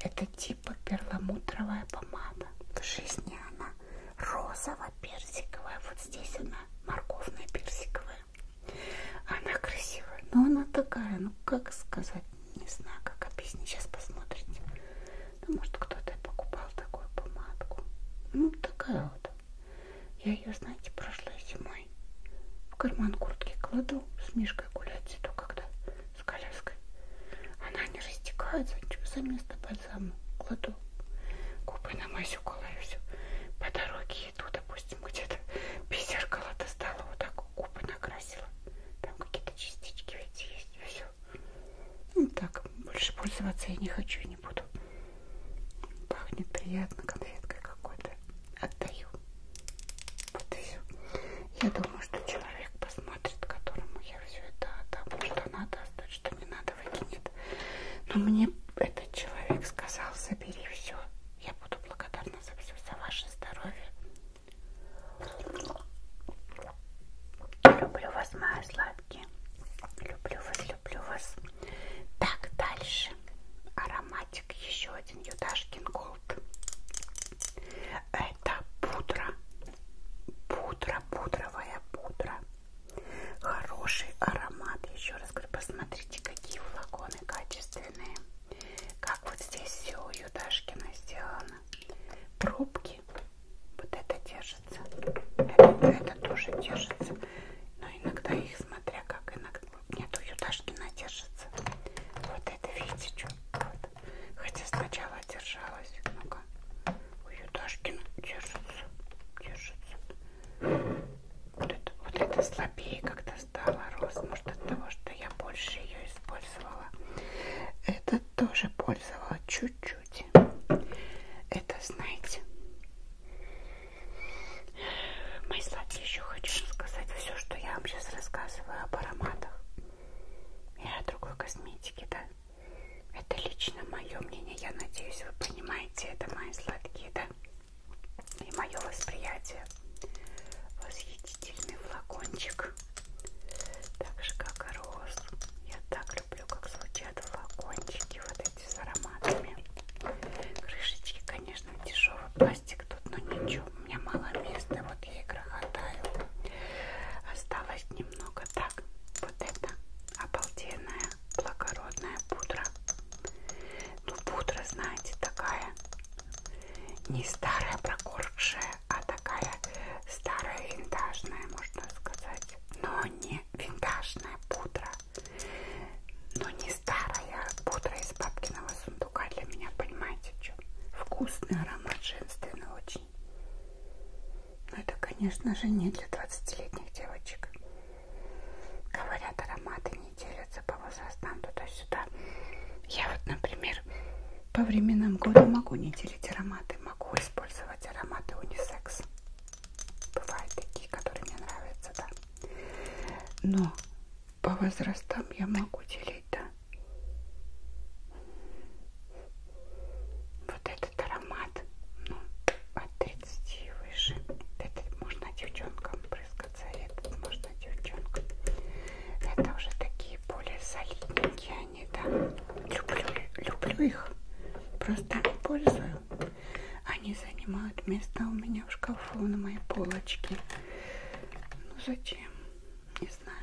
Это типа перламутровая помада. В жизни она розово-персиковая, вот здесь она морковная-персиковая. Она красивая, но она такая, ну как сказать, не знаю, как объяснить, сейчас посмотрите. Ну, может, кто-то покупал такую помадку. Ну, такая вот. Я ее, знаете, прошлой зимой в карман куртки кладу с Мишкой гулять иду, когда с коляской. Она не растекается, за место бальзама кладу. Губы на мазь уколаю все. По дороге иду, допустим, где-то без зеркала достала, вот так губы накрасила. Там какие-то частички ведь есть. Все ну так, больше пользоваться я не хочу и не буду. Пахнет приятно конфеткой какой-то. Отдаю. Вот и все. Я думаю, что человек посмотрит, которому я все это отдам, что надо оставить, что не надо выкинет. Но мне этот человек сказал, забери все. Я буду благодарна за все, за ваше здоровье. Люблю вас, моя сладкая ребятки. Люблю вас, люблю вас. Так, дальше. Ароматик еще один. Юдашкин Голд. Это пудра. Пудра, пудровая пудра. Хороший аромат. Еще раз говорю, посмотрите, какие флаконы качественные. Как вот здесь все у Юдашкина сделано пробки. Вот это держится. Это, это тоже держится. Но иногда их, смотря как, иногда... Нет, у Юташкина держится. Вот это, видите, что? Вот. Хотя сначала держалась. Ну-ка. У Юташкина держится. Держится. Вот это, вот это слабее как-то стало рост. Может, от того, что я больше ее использовала. Этот тоже пользовалась чуть-чуть. Это, знаете, мои сладкие, еще хочу рассказать все, что я вам сейчас рассказываю об ароматах и о другой косметике, да? Это лично мое мнение, я надеюсь, вы понимаете, это мои сладкие, да? И мое восприятие. Восхитительный флакончик. Так же, как и роз. Я так люблю, как звучат флакончики вот эти с ароматами. Крышечки, конечно, дешевый пластик тут, но ничего, у меня мало места, вот я и грохотаю. Осталось немного так. Вот это обалденная, благородная пудра. Ну, пудра, знаете, такая не старая прокоршая, а такая старая винтажная, можно сказать но не винтажная пудра, но не старая а пудра из бабкиного сундука для меня, понимаете, что? Вкусный аромат, женственный очень. Но это, конечно же, не для 20-летних девочек. Говорят, ароматы не делятся по возрастам туда-сюда. Я вот, например, по временам года могу не делить ароматы, могу использовать использовать ароматы унисекс. Бывают такие, которые мне нравятся, да. Но по возрастам я могу делить, да. Вот этот аромат, ну, от 30 и выше. Этот можно девчонкам брызгаться, а этот можно девчонкам. Это уже такие более солидненькие отношении, да. Люблю, люблю их. Просто пользую. Они занимают место у меня в шкафу на моей полочке. Ну зачем? Не знаю.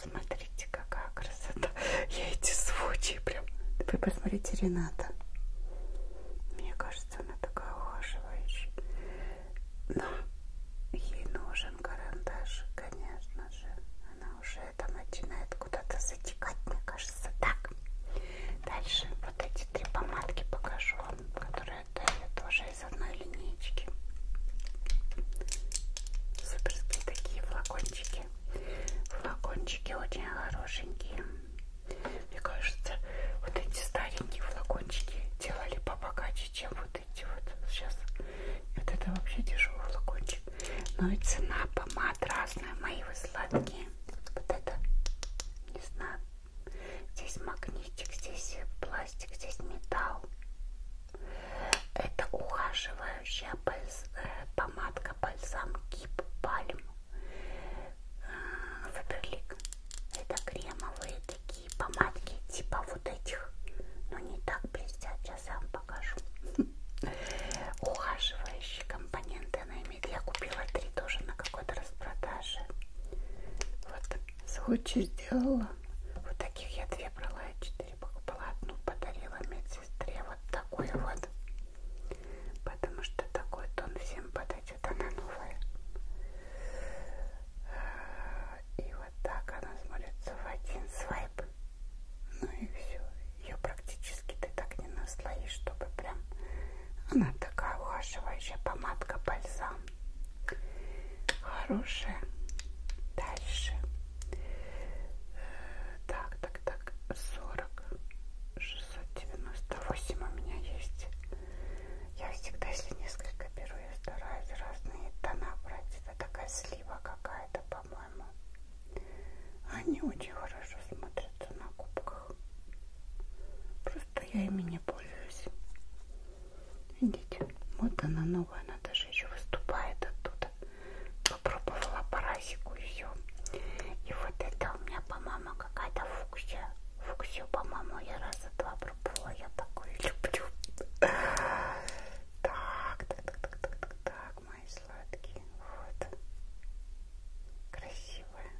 Смотрите, какая красота. Я эти звучи прям. Вы посмотрите, Рената. Мне кажется, она такая ухаживающая. Но ей нужен карандаш, конечно же. Она уже это начинает куда-то затекать, мне кажется. Так, дальше вот эти три помадки покажу вам, которые дали тоже из одной линейки. Суперские такие флакончики. Флакончики очень хорошенькие. Мне кажется, вот эти старенькие флакончики делали побогаче, чем вот эти вот сейчас. Вот это вообще дешевый флакончик. Но и цена помады аромат разный, мои вы сладкие. Вот это, не знаю, здесь магнитик, здесь пластик, здесь металл. Это ухаживающая бальз... Э, помадка бальзам Кип Пальм. Фаберлик. Э, это кремовые такие помадки, типа вот этих, но не так блестят я сам покажу. Ухаживающие компоненты она имеет. Я купила три тоже на какой-то распродаже. Вот случай сделала. Вот таких я две брала, я четыре покупала. Одну подарила медсестре. Вот такую вот. Потому что такой тон всем подойдет. Она новая. А, и вот так она смотрится в один свайп. Ну и все ее практически ты так не наслоишь, чтобы прям она такая ухаживающая помадка бальзам хорошая дальше э, так так так 40 698 у меня есть я всегда если несколько беру я стараюсь разные тона брать это такая слива какая-то по-моему они очень хорошо смотрятся на губках. Просто я ими не пользуюсь. Видите, вот она новая, она даже еще выступает оттуда. Попробовала парасику ее. И вот это у меня, по-моему, какая-то фуксия. Фуксию, по-моему, я раза два пробовала. Я такой люблю. Так, так, так, так, так, так, так мои сладкие. Вот. Красивая.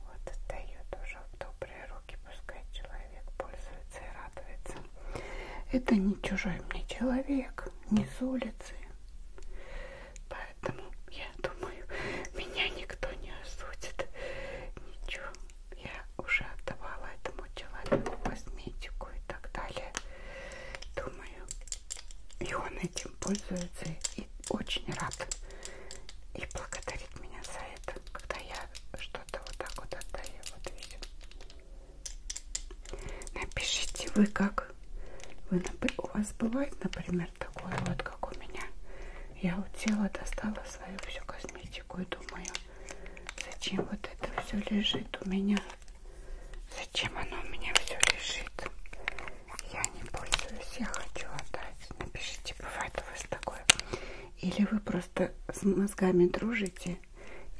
Вот отдает уже в добрые руки. Пускай человек пользуется и радуется. Это не чужой мне человек. Не с улицы. Поэтому, я думаю, меня никто не осудит. Ничего. Я уже отдавала этому человеку косметику и так далее. Думаю, и он этим пользуется и очень рад. И благодарит меня за это, когда я что-то вот так вот отдаю. Вот видите. Напишите вы как. Вы, у вас бывает, например, такое вот, как у меня. Я у тела достала свою всю косметику и думаю, зачем вот это все лежит у меня Зачем оно у меня все лежит? Я не пользуюсь, я хочу отдать. Напишите, бывает у вас такое. Или вы просто с мозгами дружите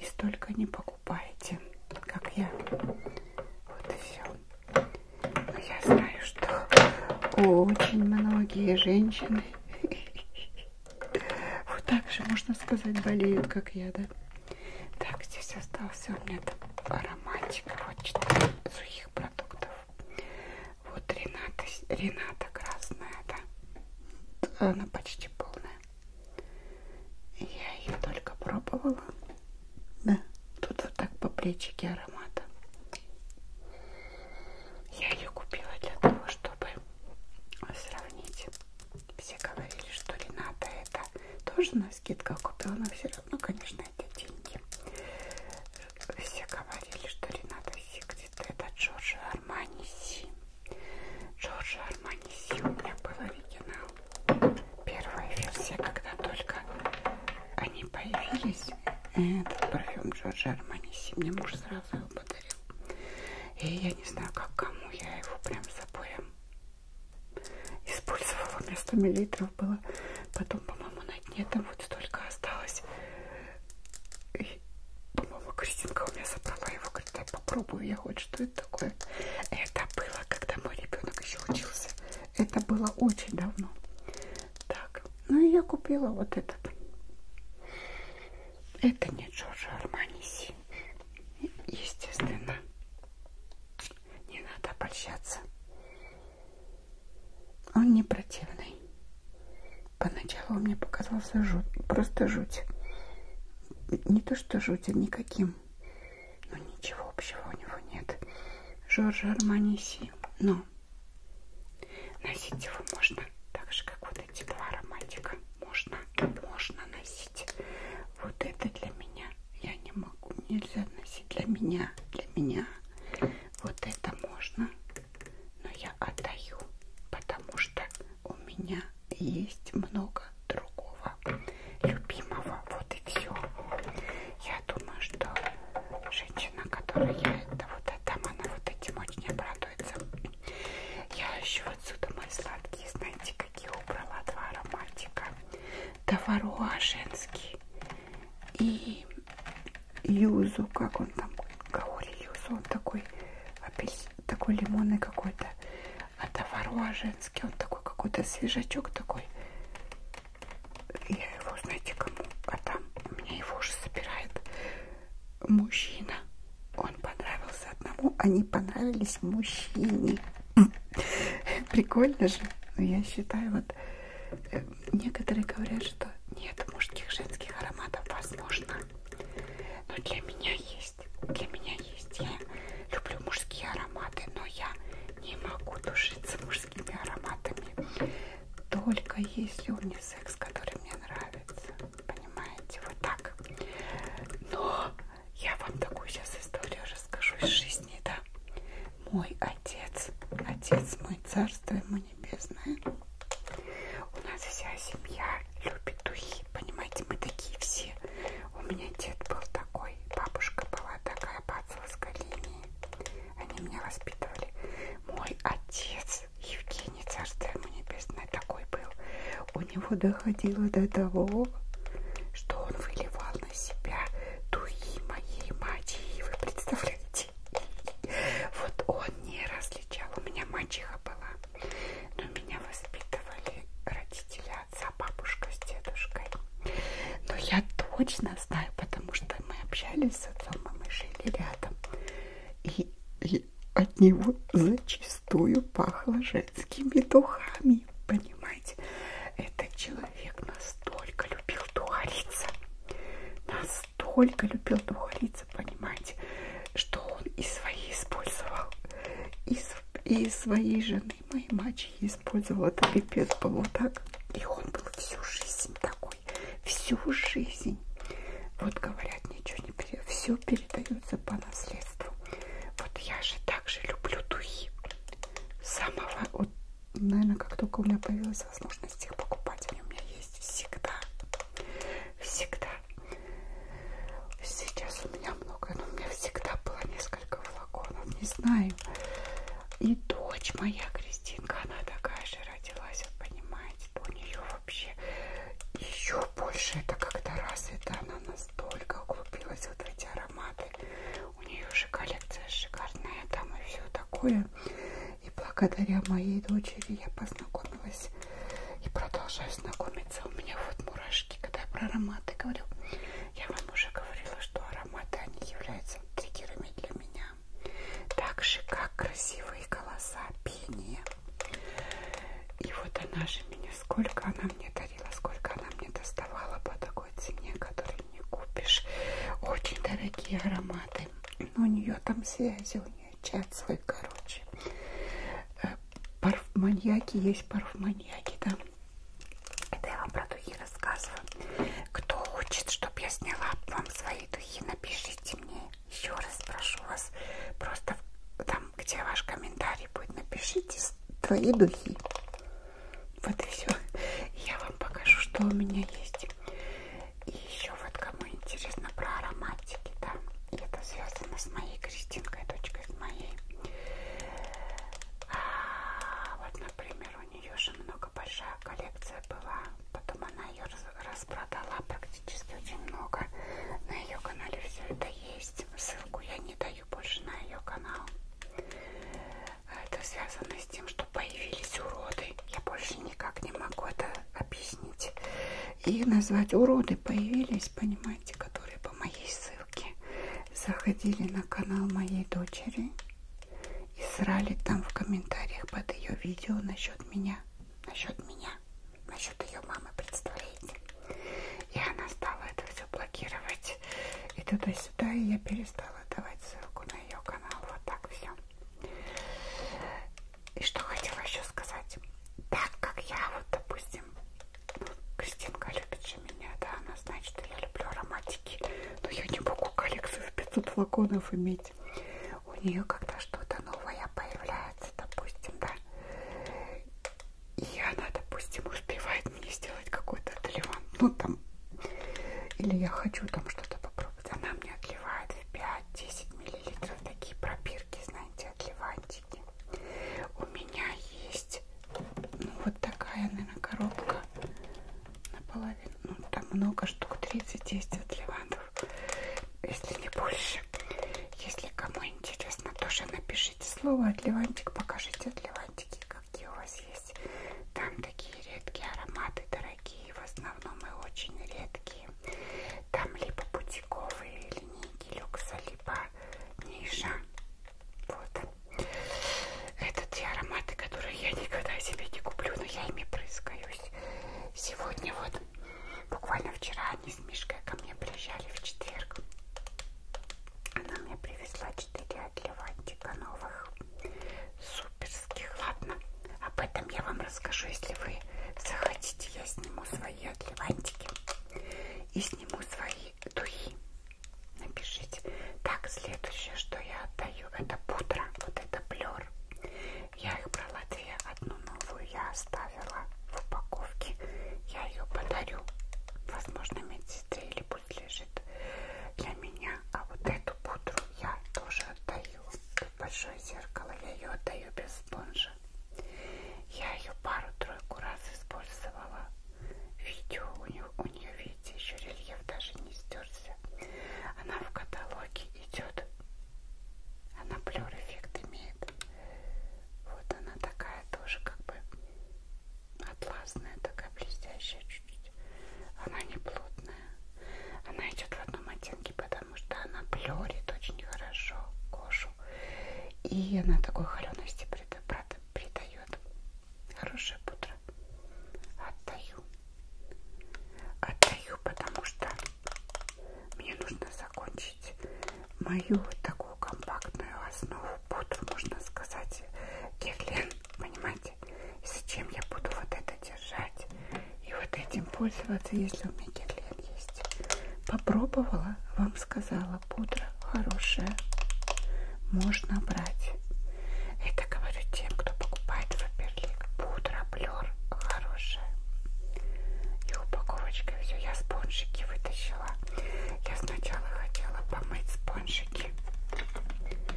и столько не покупаете, как я. Вот и все. Но а я знаю, что очень многие женщины вот так же, можно сказать, болеют, как я, да? Так, здесь остался у меня ароматик. Вот 4 сухих продуктов. Вот Рената, Рената красная, да. Она почти полная. Я ее только пробовала. Да. Тут вот так по плечике аромата. Я ее купила для того, чтобы сравнить. Все говорили, что Рената это тоже на скидках купила, но все равно, конечно, это деньги. Все говорили, что Рената Сикрет это Джорджи Армани Си. Джорджи Армани Си у меня был оригинал. Первая версия, когда только они появились, этот парфюм Джорджи Армани Си мне муж сразу его подарил. И я не знаю, как кому, я его прям с запоем использовала вместо миллилитров было потом по-моему на дне там вот столько осталось и по-моему Кристинка у меня забрала его говорит я попробую я хоть что это такое это было когда мой ребенок еще учился это было очень давно так ну и я купила вот этот это не Джорджо Арманиси естественно не надо обольщаться. Он не противный. Поначалу он мне показался жуть, просто жуть. Не то что жуть, а никаким. Но ничего общего у него нет. Жоржа Арманиси. Но носить его можно так же, как вот эти два ароматика. Можно, можно носить вот это для меня я не могу нельзя носить для меня для меня вот это можно но я отдаю потому что у меня есть много другого любимого вот и все я думаю что женщина которая я это вот отдам она вот этим очень обрадуется я еще отсюда мои сладкие знаете какие убрала два ароматика Таваруа женский и юзу, как он там, каори юзу, он такой, апельс, такой лимонный какой-то, а таваруа женский, он такой какой-то свежачок такой. Я его, знаете, кому отдам, а у меня его уже собирает мужчина. Он понравился одному, они понравились мужчине. Прикольно же. Но я считаю, вот э, некоторые говорят, что нет мужских, женских ароматов, возможно. Но для меня есть. Для меня есть. Я люблю мужские ароматы, но я не могу душиться мужскими ароматами. Только если унисекс, который мне нравится. Понимаете? Вот так. Но я вам такую сейчас историю расскажу из жизни, да. Мой отец, отец мой, царство ему небесное. У нас вся семья любит духи, понимаете, мы такие все. У меня дед был такой, бабушка была такая по отцовской линии. Они меня воспитывали. Мой отец Евгений, царство ему небесное, такой был. У него доходило до того, что он выливал на себя дуи моей матери. Вы представляете? Вот он не различал. У меня мачеха была, но меня воспитывали родители отца, бабушка с дедушкой. Но я точно знаю, потому что мы общались с отцом, и мы жили рядом. И, и от него зачастую пахло женскими духами сами понимаете, этот человек настолько любил духариться, настолько любил духариться, понимаете, что он и свои использовал, и, и своей жены, моей мачехи использовал. Это пипец был вот так. И он был всю жизнь такой, всю жизнь. Вот говорят, ничего не передается, все передается по наследству. Вот я же также люблю духи самого, вот, наверное, как только у меня появилась возможность их покупать, они у меня есть всегда, всегда. Сейчас у меня много, но у меня всегда было несколько флаконов, не знаю. И дочь моя, Кристинка, она такая же родилась, вот понимаете, то у нее вообще еще больше это как-то развито, она настолько углубилась вот эти ароматы. У нее же коллекция шикарная там и все такое. И благодаря моей дочери я познакомилась и продолжаю знакомиться. У меня вот мурашки, когда я про ароматы говорю. Я вам уже говорила, что ароматы, они являются триггерами для меня. Так же, как красивые голоса, пение. И вот она же меня сколько она мне дарила, сколько она мне доставала по такой цене, которую не купишь. Очень дорогие ароматы. Но у нее там связи, у нее чат свой, короче. Э, парфманьяки есть парфманьяки, да. Это я вам про духи рассказываю. Кто хочет, чтобы я сняла вам свои духи, напишите мне. Еще раз прошу вас, просто там, где ваш комментарий будет, напишите твои духи. Вот и все. Я вам покажу, что у меня есть. И еще вот кому интересно про ароматики, да, и это связано с моей крестинкой, дочкой, с моей. А, вот, например, у нее же много большая коллекция была, потом она ее распродала практически очень много. На ее канале все это есть. Ссылку я не даю ее больше на ее канал. Это связано с тем, что появились уроды. Я больше никак не могу это объяснить и назвать уроды появились, понимаете, которые по моей ссылке заходили на канал моей дочери и срали там в комментариях под ее видео насчет меня, насчет меня, насчет ее мамы, представляете? И она стала это все блокировать. И туда-сюда, и я перестала давать ссылку на ее канал. Вот так все. И что хотела еще сказать. Так как я вот, допустим, ну, Кристинка любит же меня, да, она знает, что я люблю ароматики, но я не могу коллекцию в 500 флаконов иметь. У нее когда что-то новое появляется, допустим, да, и она, допустим, успевает мне сделать какой-то отливант, ну там, или я хочу там что-то попробовать, она мне отливает в 5-10 миллилитров такие пробирки, знаете, отливантики. У меня есть, ну вот такая, наверное, коробка наполовину, ну там много штук, 30-10 отливантов, если не больше. Если кому интересно, тоже напишите слово отливантик, покажите отливантики какие у вас есть. Там такие редкие ароматы, дорогие, в основном и очень редкие. Там либо бутиковые линейки люкса, либо ниша. Вот. Это те ароматы, которые я никогда себе не куплю, но я ими прыскаюсь. Сегодня вот, буквально вчера они с Мишкой ко мне приезжали в четверг. Она мне привезла 4 для ватика типа новых суперских. Ладно, об этом я вам расскажу, если вы захотите. Я сниму свои отливантики и сниму свои духи. Напишите. Так, следующее, что я отдаю, это пудра. Вот это блер. Я их брала две. Одну новую я оставила в упаковке. Я ее подарю, возможно, медсестре или пусть лежит для меня. А вот эту пудру я тоже отдаю. Тут большое зеркало, я ее отдаю без спонжа. Я ее пару-тройку раз использовала. Видео у нее, у нее, видите, еще рельеф даже не стерся. Она в каталоге идет. Она плюр эффект имеет. Вот она такая тоже как бы атласная, такая блестящая чуть-чуть. Она не плотная. Она идет в одном оттенке, потому что она плерит очень хорошо кожу. И она такой холености придает. Хорошая пудра. Отдаю. Отдаю, потому что мне нужно закончить мою вот такую такую компактную основу, пудру, можно сказать, гелен, понимаете? И зачем я буду вот это держать и вот этим пользоваться, если у меня гелен есть? Попробовала, вам сказала, пудра хорошая, можно брать. Это говорю тем, кто покупает Фаберлик. Пудра Блер хорошая. И упаковочка все. Я спонжики вытащила. Я сначала хотела помыть спонжики пудрики.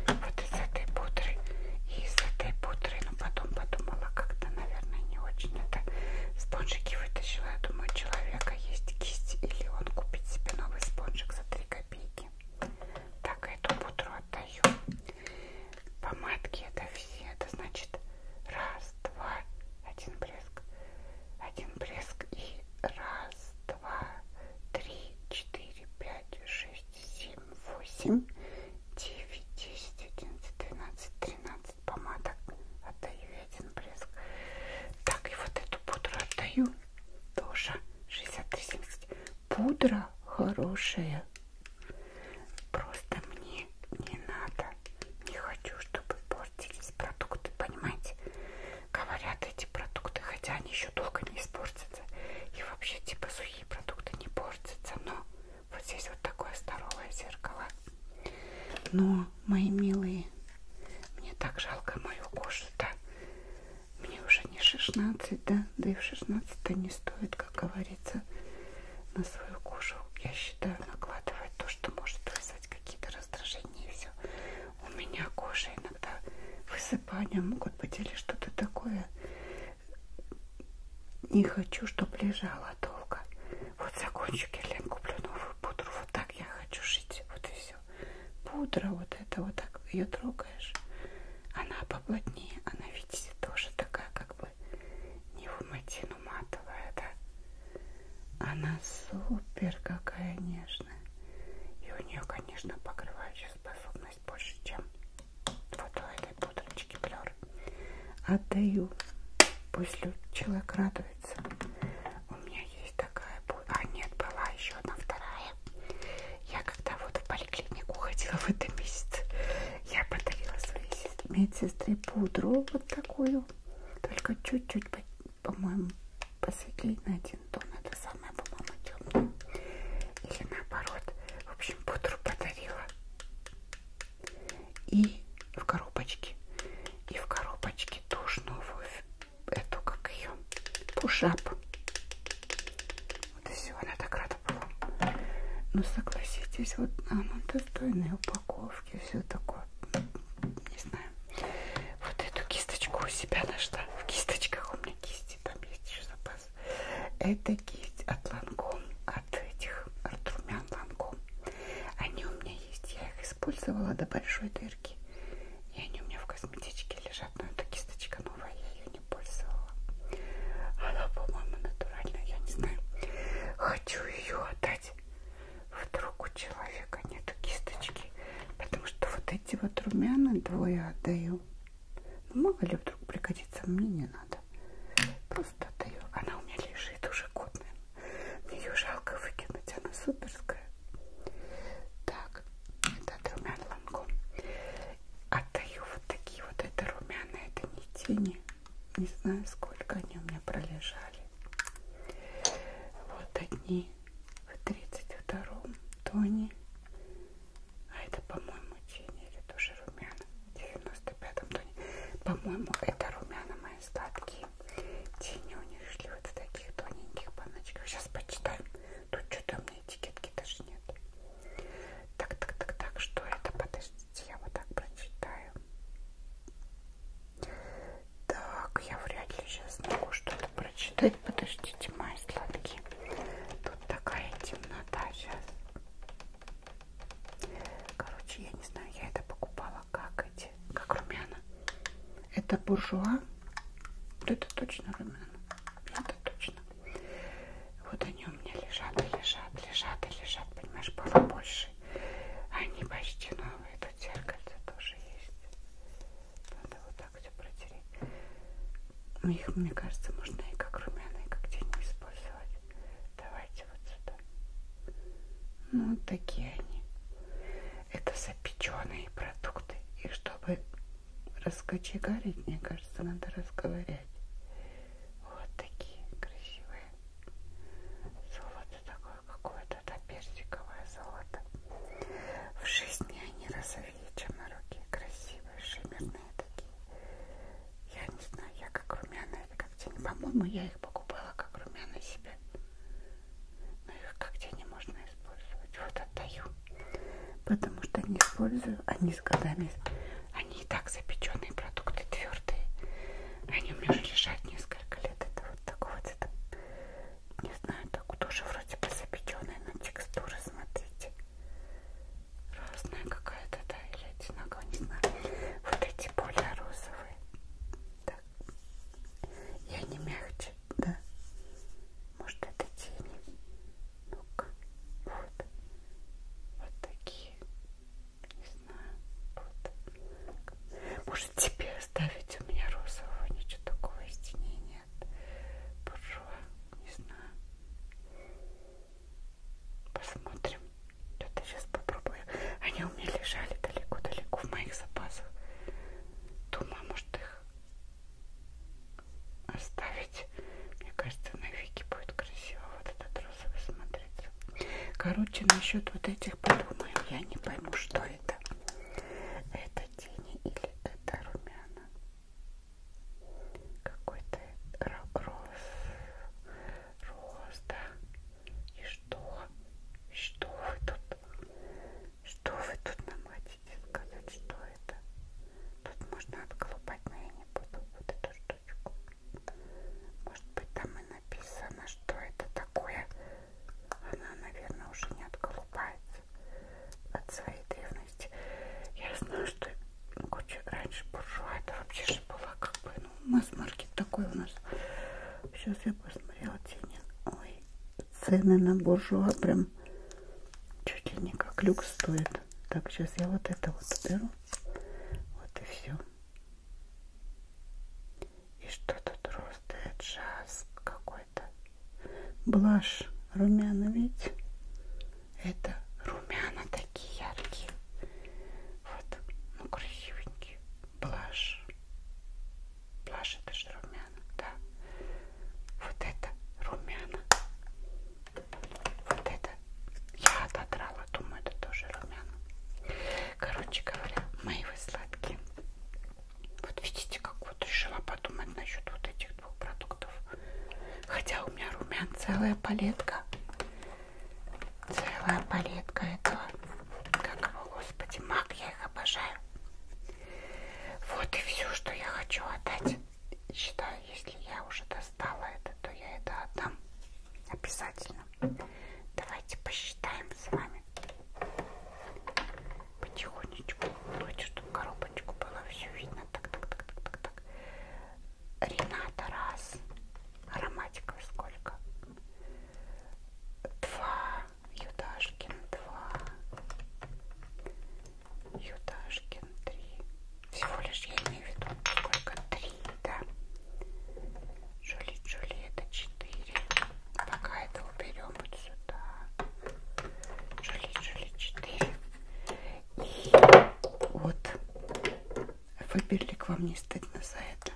Вот из этой пудры и из этой пудры. Но потом подумала, как-то, наверное, не очень это спонжики вытащила. Я думаю, у человека есть кисть или он купит себе новый спонжик за 3 копейки. Так, а эту пудру отдаю. Помадки это все. Это значит раз, два, один блеск один блеск и раз, два, три, четыре, пять, шесть, семь, восемь, девять, десять, одиннадцать, двенадцать, тринадцать помадок. Отдаю я один блеск. Так, и вот эту пудру отдаю. Тоже 63,70. Пудра хорошая. Просто мне не надо. Не хочу, чтобы портились продукты, понимаете? говорят эти продукты, хотя они еще долго не испортятся. И вообще типа сухие продукты не портятся, но вот здесь вот такое здоровое зеркало. Но, мои милые, мне так жалко мою кожу-то. Мне уже не 16, да? Да и в 16 не стоит, как говорится, на свою кожу, я считаю, накладывать то, что может вызвать какие-то раздражения и все у меня кожа иногда высыпания могут быть или что-то такое. Не хочу, чтобы лежала долго. Вот закончу гелем, куплю новую пудру. Вот так я хочу жить. Вот и все. Пудра вот это вот так ее трогаешь. Она поплотнее. Она, видите, тоже такая как бы не в матину матовая, да? Она супер какая нежная конечно. И у нее, конечно, покрывающая способность больше, чем вот у этой пудрочки Блер. Отдаю. Пусть человек радуется. У меня есть такая пудра. А нет, была еще одна вторая. Я когда вот в поликлинику ходила в этом месяце, я подарила своей медсестре пудру вот такую. Только чуть-чуть по-моему, посветлее на один тон. Это самое, по-моему, темное. Или наоборот. В общем, пудру подарила. И в коробочке. И в коробочке тоже новую. Эту, как ее, пушап. Вот и все. Она так рада была. Ну, согласитесь, вот она достойная упаковки. Все такое. Не знаю вкусная. Вот эту кисточку у себя нашла. В кисточках у меня кисти, там есть еще запас. Это кисть от Ланком, от этих, от румян Ланком. Они у меня есть, я их использовала до большой дырки. И они у меня в косметичке лежат, но эта кисточка новая, я ее не пользовала. Она, по-моему, натуральная, я не знаю. Хочу ее отдать. Вдруг у человека а нету кисточки, потому что вот эти вот румяна двое отдаю. Ну, мало ли вдруг пригодится, мне не надо. Просто отдаю. Она у меня лежит уже год, наверное. Мне ее жалко выкинуть, она суперская. Так, это от румян лангом. Отдаю вот такие вот. Это румяна, это не тени. Не знаю, сколько они у меня пролежали. Вот одни в 32-м тоне, а это, по-моему, тени или тоже румяна, в 95-м тоне. По-моему, это румяна мои сладкие. Тени у них шли вот в таких тоненьких баночках. Сейчас почитаем. Тут что-то у меня этикетки даже нет. Так, так, так, так, что это? Подождите, я вот так прочитаю. Так, я вряд ли сейчас могу что-то прочитать быть, подождите, мои сладкие. Тут такая темнота сейчас. Короче, я не знаю, я это покупала как эти, как румяна. Это буржуа. Вот это точно румяна. Это точно. Вот они у меня лежат и лежат, лежат и лежат. Понимаешь, было больше. Они почти новые. Тут зеркальце тоже есть. Надо вот так все протереть. Ну, их, мне кажется, можно и как румяные, и как тени использовать. Давайте вот сюда. Ну, вот такие они. Это запеченные продукты. И чтобы раскочегарить, мне кажется, надо разговаривать. Вот такие красивые. Золото такое какое-то, да, персиковое золото. В жизни они разобьются сырые чемороки, красивые, шиммерные такие. Я не знаю, я как румяная или как тени. По-моему, я их покупала как румяна себе. Но их как тени можно использовать. Вот отдаю. Потому что не использую, они с годами... Они и так запеченные продукты, твердые. Они у меня уже лежат несколько лет. Это вот такого цвета не знаю, так тоже вроде бы запеченная, но текстура, смотрите. Разная какая-то, да, или одинаковая, не знаю. Вот эти более розовые. Так. И они мягче, да. Может это тени. Ну-ка. Вот. Вот такие. Не знаю. Вот. Может тебе оставить у меня розового, ничего такого истинения нет. Буржуа, не знаю. Посмотрим. Что-то сейчас попробую. Они у меня лежали далеко-далеко в моих запасах. Думаю, может их оставить. Мне кажется, на Вики будет красиво вот этот розовый смотрится. Короче, насчет вот этих подумаю. Я не пойму, что это. Это тени или это румяна. Какой-то рос, рос, да. И что? Что вы тут? Что вы тут нам хотите сказать? Что это? Тут можно отколупать, но я не буду вот эту штучку. Может быть там и написано, что это такое. Она, наверное, уже не отколупается от своей древности. Я знаю, что короче, раньше буржуа это вообще же была как бы, ну, масс-маркет такой у нас. Сейчас я посмотрела тени. Ой, цены на буржуа прям чуть ли не как люкс стоит. Так, сейчас я вот это вот беру. Вот и все. И что тут рост, джаз какой какой-то. Блаш румяна, видите? Это румяна такие яркие. Вот, ну красивенькие. Блаш. Блаш это же румяна, да. Вот это румяна. Вот это я отодрала, думаю, это тоже румяна. Короче говоря, мои вы сладкие. Вот видите, как вот решила подумать насчет вот этих двух продуктов. Хотя у меня румян целая палетка. Целая палетка этого. Как его, господи, мак, я их обожаю. Вот и все, что я хочу отдать. Считаю, если я уже достала это, то я это отдам. Обязательно. Давайте посчитаем с вами потихонечку, давайте, чтобы коробочку было все видно, так, так, так, так, так, так. Рената раз, ароматика сколько? Два, Юдашкин два, Юдашкин три. Всего лишь я имею в виду сколько? Три, да. Жули, Жули, это четыре. Пока это уберем вот сюда. Жили, жили 4. И вот Фаберлик вам не стыдно за это.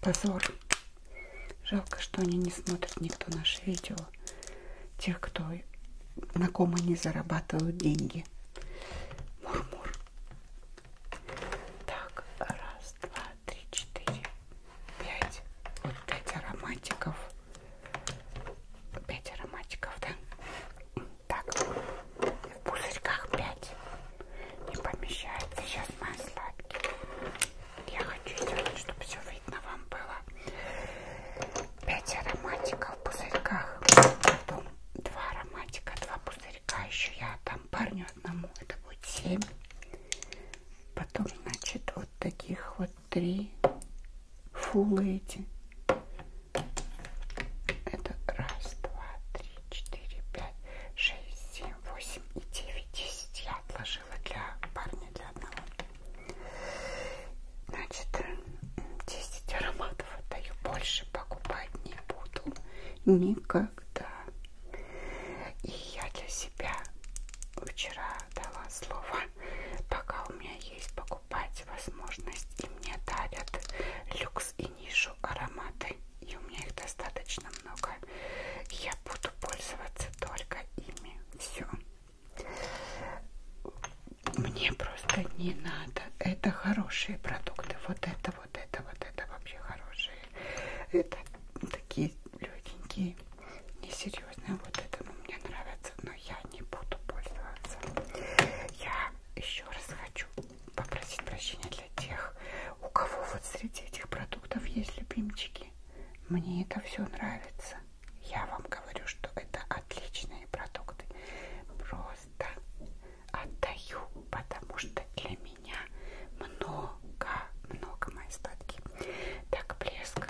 Позор. Жалко, что они не смотрят никто наши видео. Тех, кто на ком они зарабатывают деньги. Мурмур. -мур. Так, раз, два, три, четыре, пять. Вот пять ароматиков. 5 ароматиков, да? Так, в пузырьках 5 не помещается. Сейчас мои сладкие. Я хочу сделать, чтобы все видно вам было. 5 ароматиков в пузырьках. Потом 2 ароматика, 2 пузырька. Еще я там парню одному. Это будет 7. Потом, значит, вот таких вот три. Фул эти. Это раз, два, три, четыре, пять, шесть, семь, восемь и девять, десять. Я отложила для парня, для одного. Значит, 10 ароматов отдаю. Больше покупать не буду. Никогда. И я для себя вчера дала слово пока у меня есть покупать возможность и мне дарят люкс и нишу ароматы и у меня их достаточно много я буду пользоваться только ими все мне просто не надо это хорошие продукты вот это вот это вот это вообще хорошие это такие легенькие несерьезная. Вот этому мне нравится, но я не буду пользоваться. Я еще раз хочу попросить прощения для тех, у кого вот среди этих продуктов есть любимчики. Мне это все нравится. Я вам говорю, что это отличные продукты. Просто отдаю, потому что для меня много, много мои сладкие. Так, блеск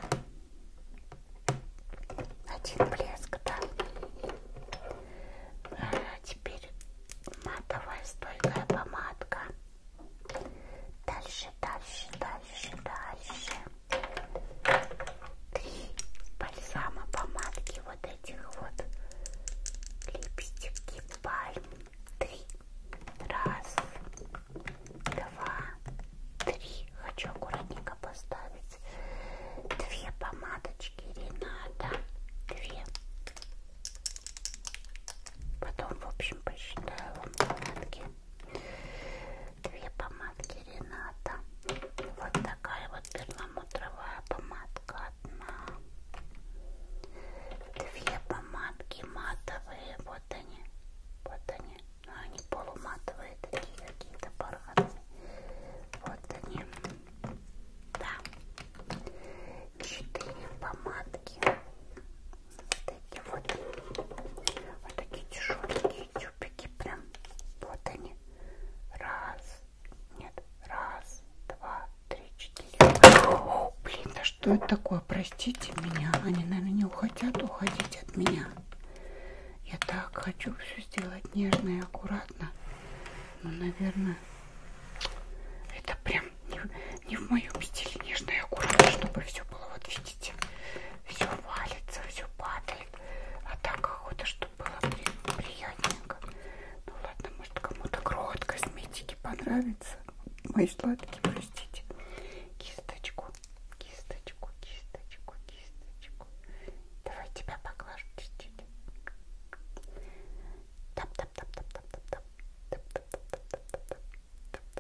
один блеск, да. А теперь матовая стойкая помадка. Дальше, дальше, дальше, дальше. Три бальзама помадки вот этих вот. Липстики пальм. Три. Раз, два, три. Хочу аккуратненько поставить. Две помадочки Рената. Две. Потом, в общем, посчитаю вам помадки. Две помадки Рената. Вот такая вот перламутровая помадка одна. Две помадки матовые. Вот они. Вот они но ну, они полуматовые такие какие-то парадные. Вот они. Да. Четыре помадки. Вот эти вот. Вот такие тяжеленькие тюбики прям. Вот они. Раз. Нет. Раз, два, три, четыре. О, блин, а что это такое? Простите меня. Они, наверное, не хотят уходить от меня. Я так хочу все сделать нежно и аккуратно. Но, наверное, это прям не, не в моем стиле нежно и аккуратно, чтобы все было. Вот видите, все валится, все падает. А так охота, чтобы было при, приятненько. Ну ладно, может кому-то грот косметики понравится. Мои сладкие, простите. Кисточку кисточку, кисточку, кисточку. Давай тебя поглажу чуть-чуть. Тап, тап, тап, тап, тап, тап, тап, тап, тап, тап, тап, тап, тап,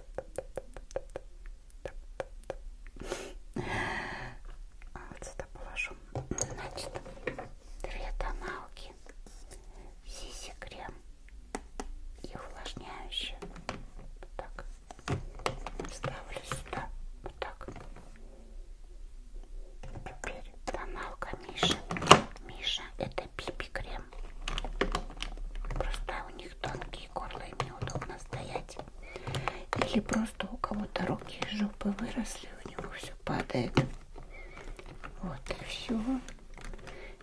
Значит, две тоналки, сиси крем и увлажняющие. Вот так ставлю сюда вот так. Теперь тоналка Миша. Миша это пипи крем. Просто у них тонкие горла и неудобно стоять. Или просто у кого-то руки и жопы выросли, у него все падает. Вот и все.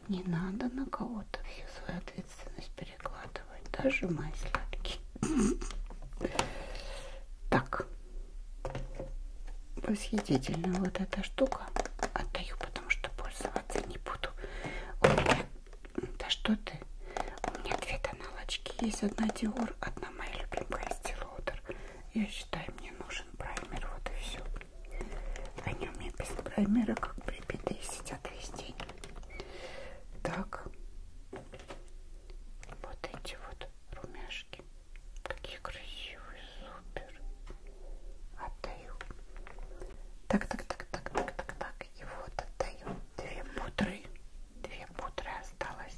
Не надо на кого-то всю свою ответственность перекладывают даже мои сладкие. Так, восхитительно вот эта штука. Отдаю, потому что пользоваться не буду. У меня... Да что ты? У меня две тоналочки есть. Одна Dior, одна моя любимая Стилоудер. Я считаю, мне нужен праймер. Вот и все. Они у меня без праймера как прибитые сидят везде. Так, вот эти вот румяшки. Какие красивые, супер. Отдаю. Так, так, так, так, так, так, так. И вот отдаю. Две пудры. Две пудры осталось.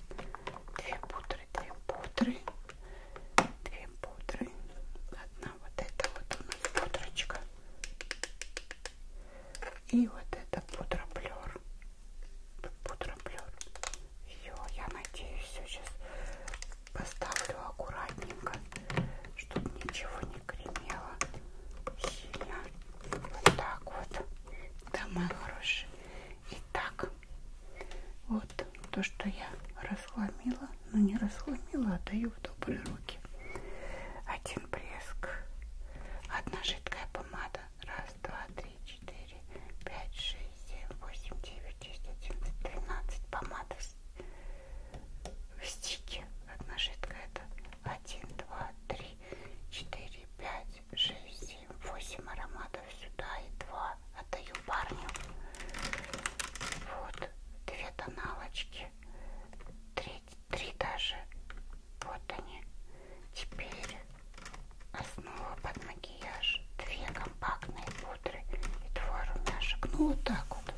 Две пудры, две пудры. Две пудры. Одна вот эта вот у нас пудрочка. И вот это пудроплер. Пудроплер. Все, я надеюсь, все сейчас поставлю аккуратненько, чтобы ничего не кремело сильно. Вот так вот. Да, мои хорошие. Итак, вот то, что я расхламила, но ну, не расхламила, отдаю а в добрые руки. Один блеск, одна жидкая помада. Раз, два, три, четыре, пять, шесть, семь, восемь, девять, десять, одиннадцать, тринадцать. Помада в стике. Одна жидкая это один, два, три, четыре, пять, шесть, семь, восемь ароматов сюда и два. Отдаю парню. Вот две тоналочки. Треть три даже. Вот они. Теперь основа под макияж. Две компактные пудры и два румяшек. Ну вот так вот.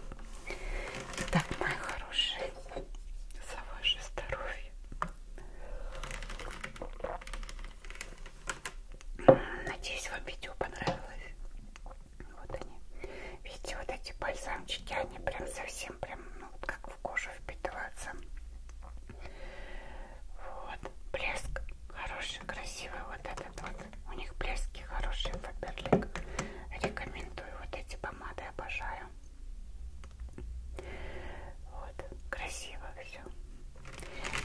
Итак, мои хорошие, за ваше здоровье. Надеюсь, вам видео понравилось. Вот они. Видите, вот эти бальзамчики, они прям совсем совсем прям, ну, как в кожу впитываться. Вот, блеск хороший, красивый вот этот вот. У них блески хорошие, Фаберлик. Рекомендую вот эти помады, обожаю. Вот, красиво все.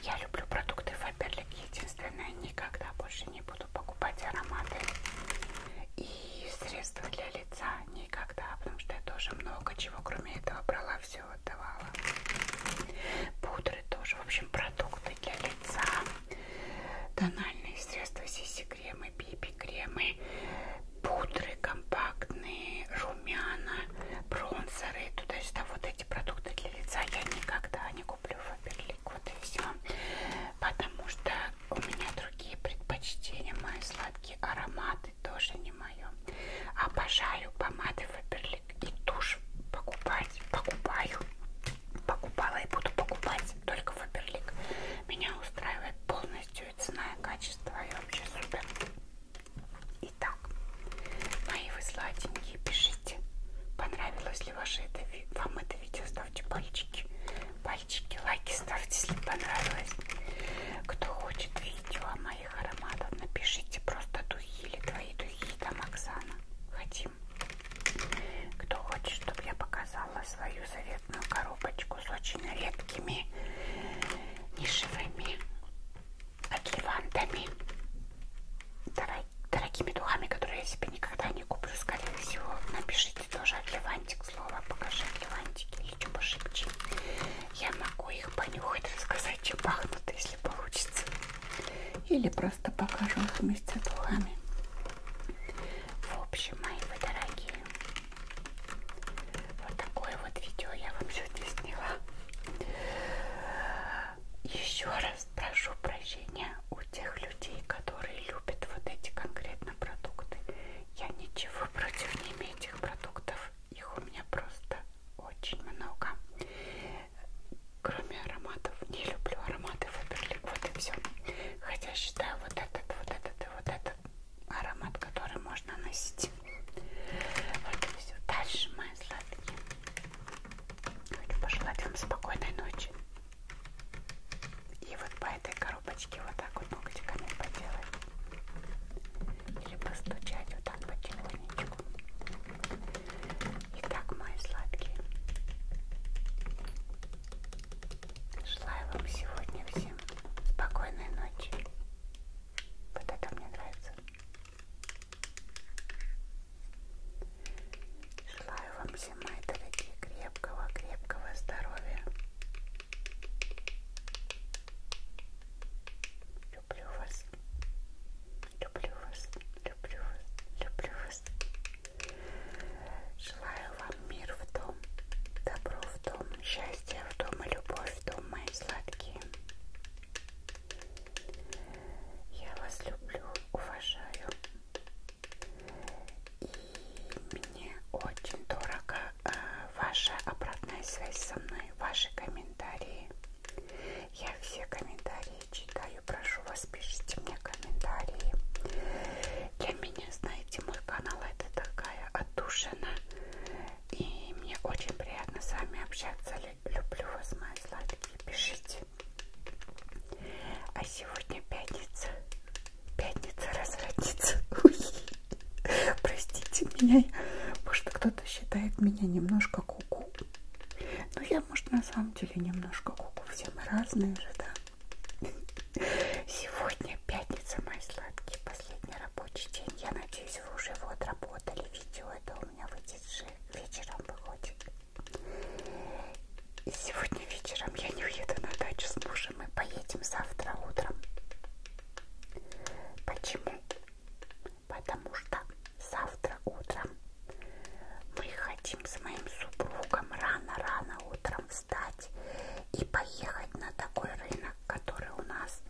Я люблю продукты Фаберлик. Единственное, никогда больше не буду покупать ароматы и средства для лица никогда, потому что я тоже много чего, кроме этого, брала, все отдавала. Пудры тоже, в общем, продукты для лица, тональные средства, сиси-кремы, биби-кремы, пудры компактные, румяна, бронзеры, туда-сюда. Вот эти продукты для лица я никогда не куплю в Фаберлик, вот и все. Потому что у меня другие предпочтения, мои сладкие ароматы помады тоже не мое. Обожаю помады Фаберлик и тушь покупать. Покупаю. Покупала и буду покупать только Фаберлик. Меня устраивает полностью и цена, и качество. И вообще супер. Итак, мои вы сладенькие, пишите, понравилось ли ваше это, вам это видео, ставьте пальчики. По пальчики, лайки ставьте, если понравилось. Кто хочет видео о моих ароматах, напишите просто духи или твои духи, там Оксана. Хотим. Кто хочет, чтобы я показала свою заветную коробочку с очень редкими нишевыми отливантами, дорогими духами, которые я себе никогда не куплю, скорее всего, напишите тоже отливантик слово покажи мне лантики или что пошепчи. Я могу их понюхать, рассказать, чем пахнут, если получится. Или просто покажу их вместе с духами. В общем, мои вы дорогие, вот такое вот видео я вам сегодня сняла. Еще раз прошу прощения у тех людей, которые любят вот эти конкретно продукты. Я ничего против не имею этих продуктов их у меня просто очень много. Кроме ароматов, не люблю ароматы Фаберлик, вот и все. Хотя считаю вот этот, вот этот и вот этот аромат, который можно носить. Вот и все. Дальше, мои сладкие. Хочу пожелать вам спокойной ночи. И вот по этой коробке коробочки вот так вот ногтиками поделать или постучать вот так потихонечку. Итак, мои сладкие, желаю вам сегодня всем спокойной ночи. Вот это мне нравится. Желаю вам всем, мои дорогие, крепкого, крепкого здоровья. Люблю вас. Люблю вас. Люблю вас. Люблю вас. Желаю вам мир в дом, добро в дом, счастье в дом и любовь в дом, мои сладкие. Я вас люблю, уважаю. И мне очень дорого Э, ваша обратная связь со мной, ваши комментарии. Я все комментарии читаю, прошу вас, пишите мне комментарии. Для меня, знаете, мой канал это такая отдушина. И мне очень приятно с вами общаться. Люблю вас, мои сладкие. Пишите. А сегодня пятница. Пятница развратница. Простите меня, может кто-то считает меня немножко куку. -ку. Ну, Но я, может, на самом деле немножко куку. -ку. Все мы разные же, да? Сегодня пятница, мои сладкие, последний рабочий день. Я надеюсь, вы уже его отработали. Видео это у меня выйдет же вечером выходит. И сегодня вечером я не уеду на дачу с мужем. Мы поедем завтра утром. Почему? Потому что завтра утром мы хотим с моим супругом рано-рано утром встать и поехать на такой рынок, который у нас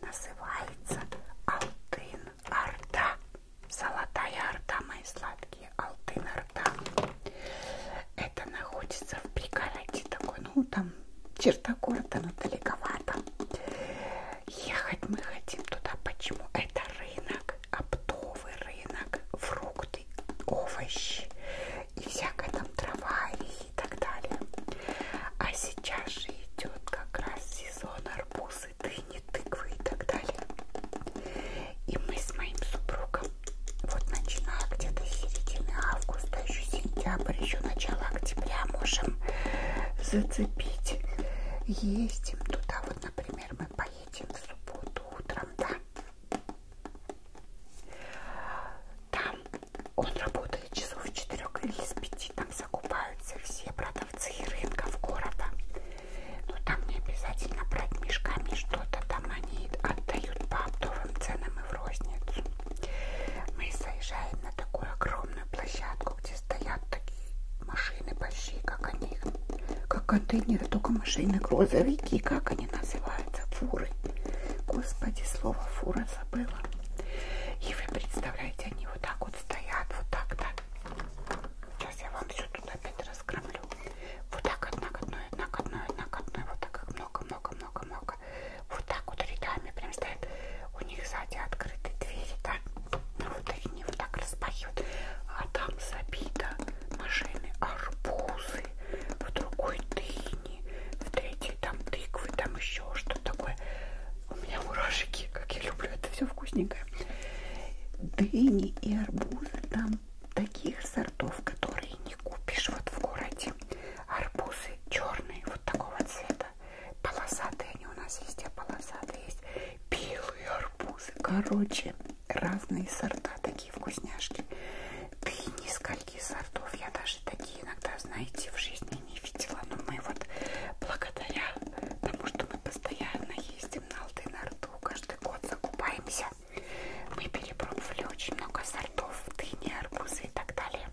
называется Алтын Орда. Золотая Орда, мои сладкие, Алтын Орда. Это находится в пригороде такой, ну там черта города далековато. Ехать мы хотим туда. Почему? Это рынок, оптовый рынок, фрукты, овощи и всякая там трава и так далее. А сейчас же идет как раз сезон арбузы, дыни, тыквы и так далее. И мы с моим супругом вот начиная где-то середины августа еще сентябрь, еще начало октября можем зацепить. Ездим туда, вот, например, мы поедем в субботу утром, да. Там он работает часов в 4 или с 5, там закупаются все продавцы и рынков города. Но там не обязательно брать мешками что-то, там они отдают по оптовым ценам и в розницу. Мы заезжаем на такую огромную площадку, где стоят такие машины большие, как они, как контейнеры, только машины, грузовики, как они называются, фуры. Господи, слово фура забыла. И вы представляете, они вот так вот стоят, вот так, да. Сейчас я вам все тут опять раскромлю. Вот так, одна к одной, одна к одной, одна к одной, вот так много-много-много-много много. Вот так вот рядами прям стоят. У них сзади открыты двери, да? Ну вот они вот так распахивают. А там забито машины арбузы, в другой дыни, в третьей там тыквы, там еще что такое. У меня мурашки, как я люблю это все вкусненькое. Дыни и арбузы там таких сортов, которые не купишь вот в городе. Арбузы черные, вот такого цвета. Полосатые они у нас есть, а полосатые есть белые арбузы. Короче, разные сорта, такие вкусняшки. Да и нескольких сортов я даже такие иногда, знаете, в жизни не видела. Но мы вот благодаря тому, что мы постоянно ездим на Алтын-Арту, каждый год закупаемся, мы перепробовали очень много сортов сортов дыни, арбузы и так далее.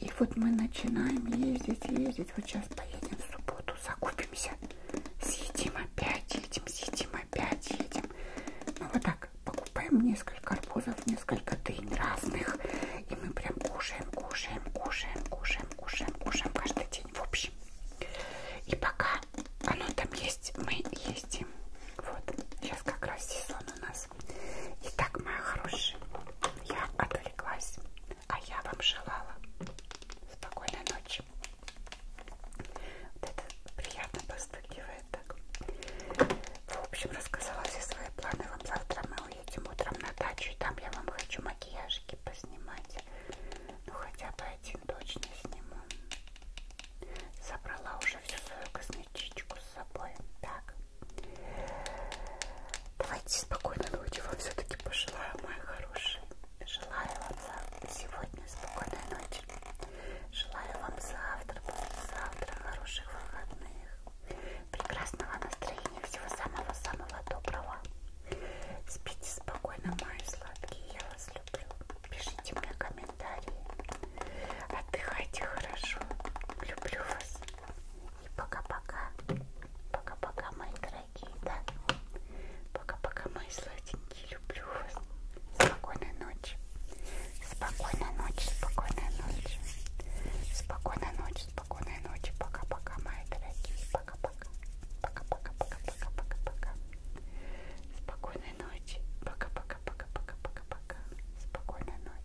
И вот мы начинаем ездить, ездить. Вот сейчас поедем в субботу, закупимся, съедим опять, едем, съедим опять, едем. Ну вот так, покупаем несколько арбузов, несколько дынь разных. И мы прям кушаем, кушаем, кушаем, кушаем, кушаем, кушаем каждый день. В общем. И пока оно там есть, мы ездим. Вот, сейчас как раз сезон у нас вас. Итак, мои хорошие, я отвлеклась, а я вам желала спокойной ночи. Вот это приятно постукивает так. В общем, рассказала все свои планы. Вам завтра мы уедем утром на дачу, и там я вам хочу макияжики поснимать. Ну, хотя бы один точно сниму. Собрала уже всю свою косметичку с собой. Так, Давайте спокойной ночи вам все-таки пожелаю, мои хорошие. Желаю вам за сегодня спокойной ночи. Желаю вам завтра, завтра хороших выходных, прекрасного настроения, всего самого-самого доброго. Спите спокойно, мои сладкие, я вас люблю. Пишите мне комментарии. Отдыхайте хорошо. Люблю вас. И пока-пока. Пока-пока, мои дорогие, да? Пока-пока, мои сладенькие. Люблю вас. Спокойной ночи. Спокойной ночи, спокойной ночи. Спокойной ночи, спокойной ночи. Пока-пока, мои дорогие. Пока-пока. Пока-пока, пока-пока, пока-пока. Спокойной ночи. Пока-пока, пока-пока, пока-пока. Спокойной ночи.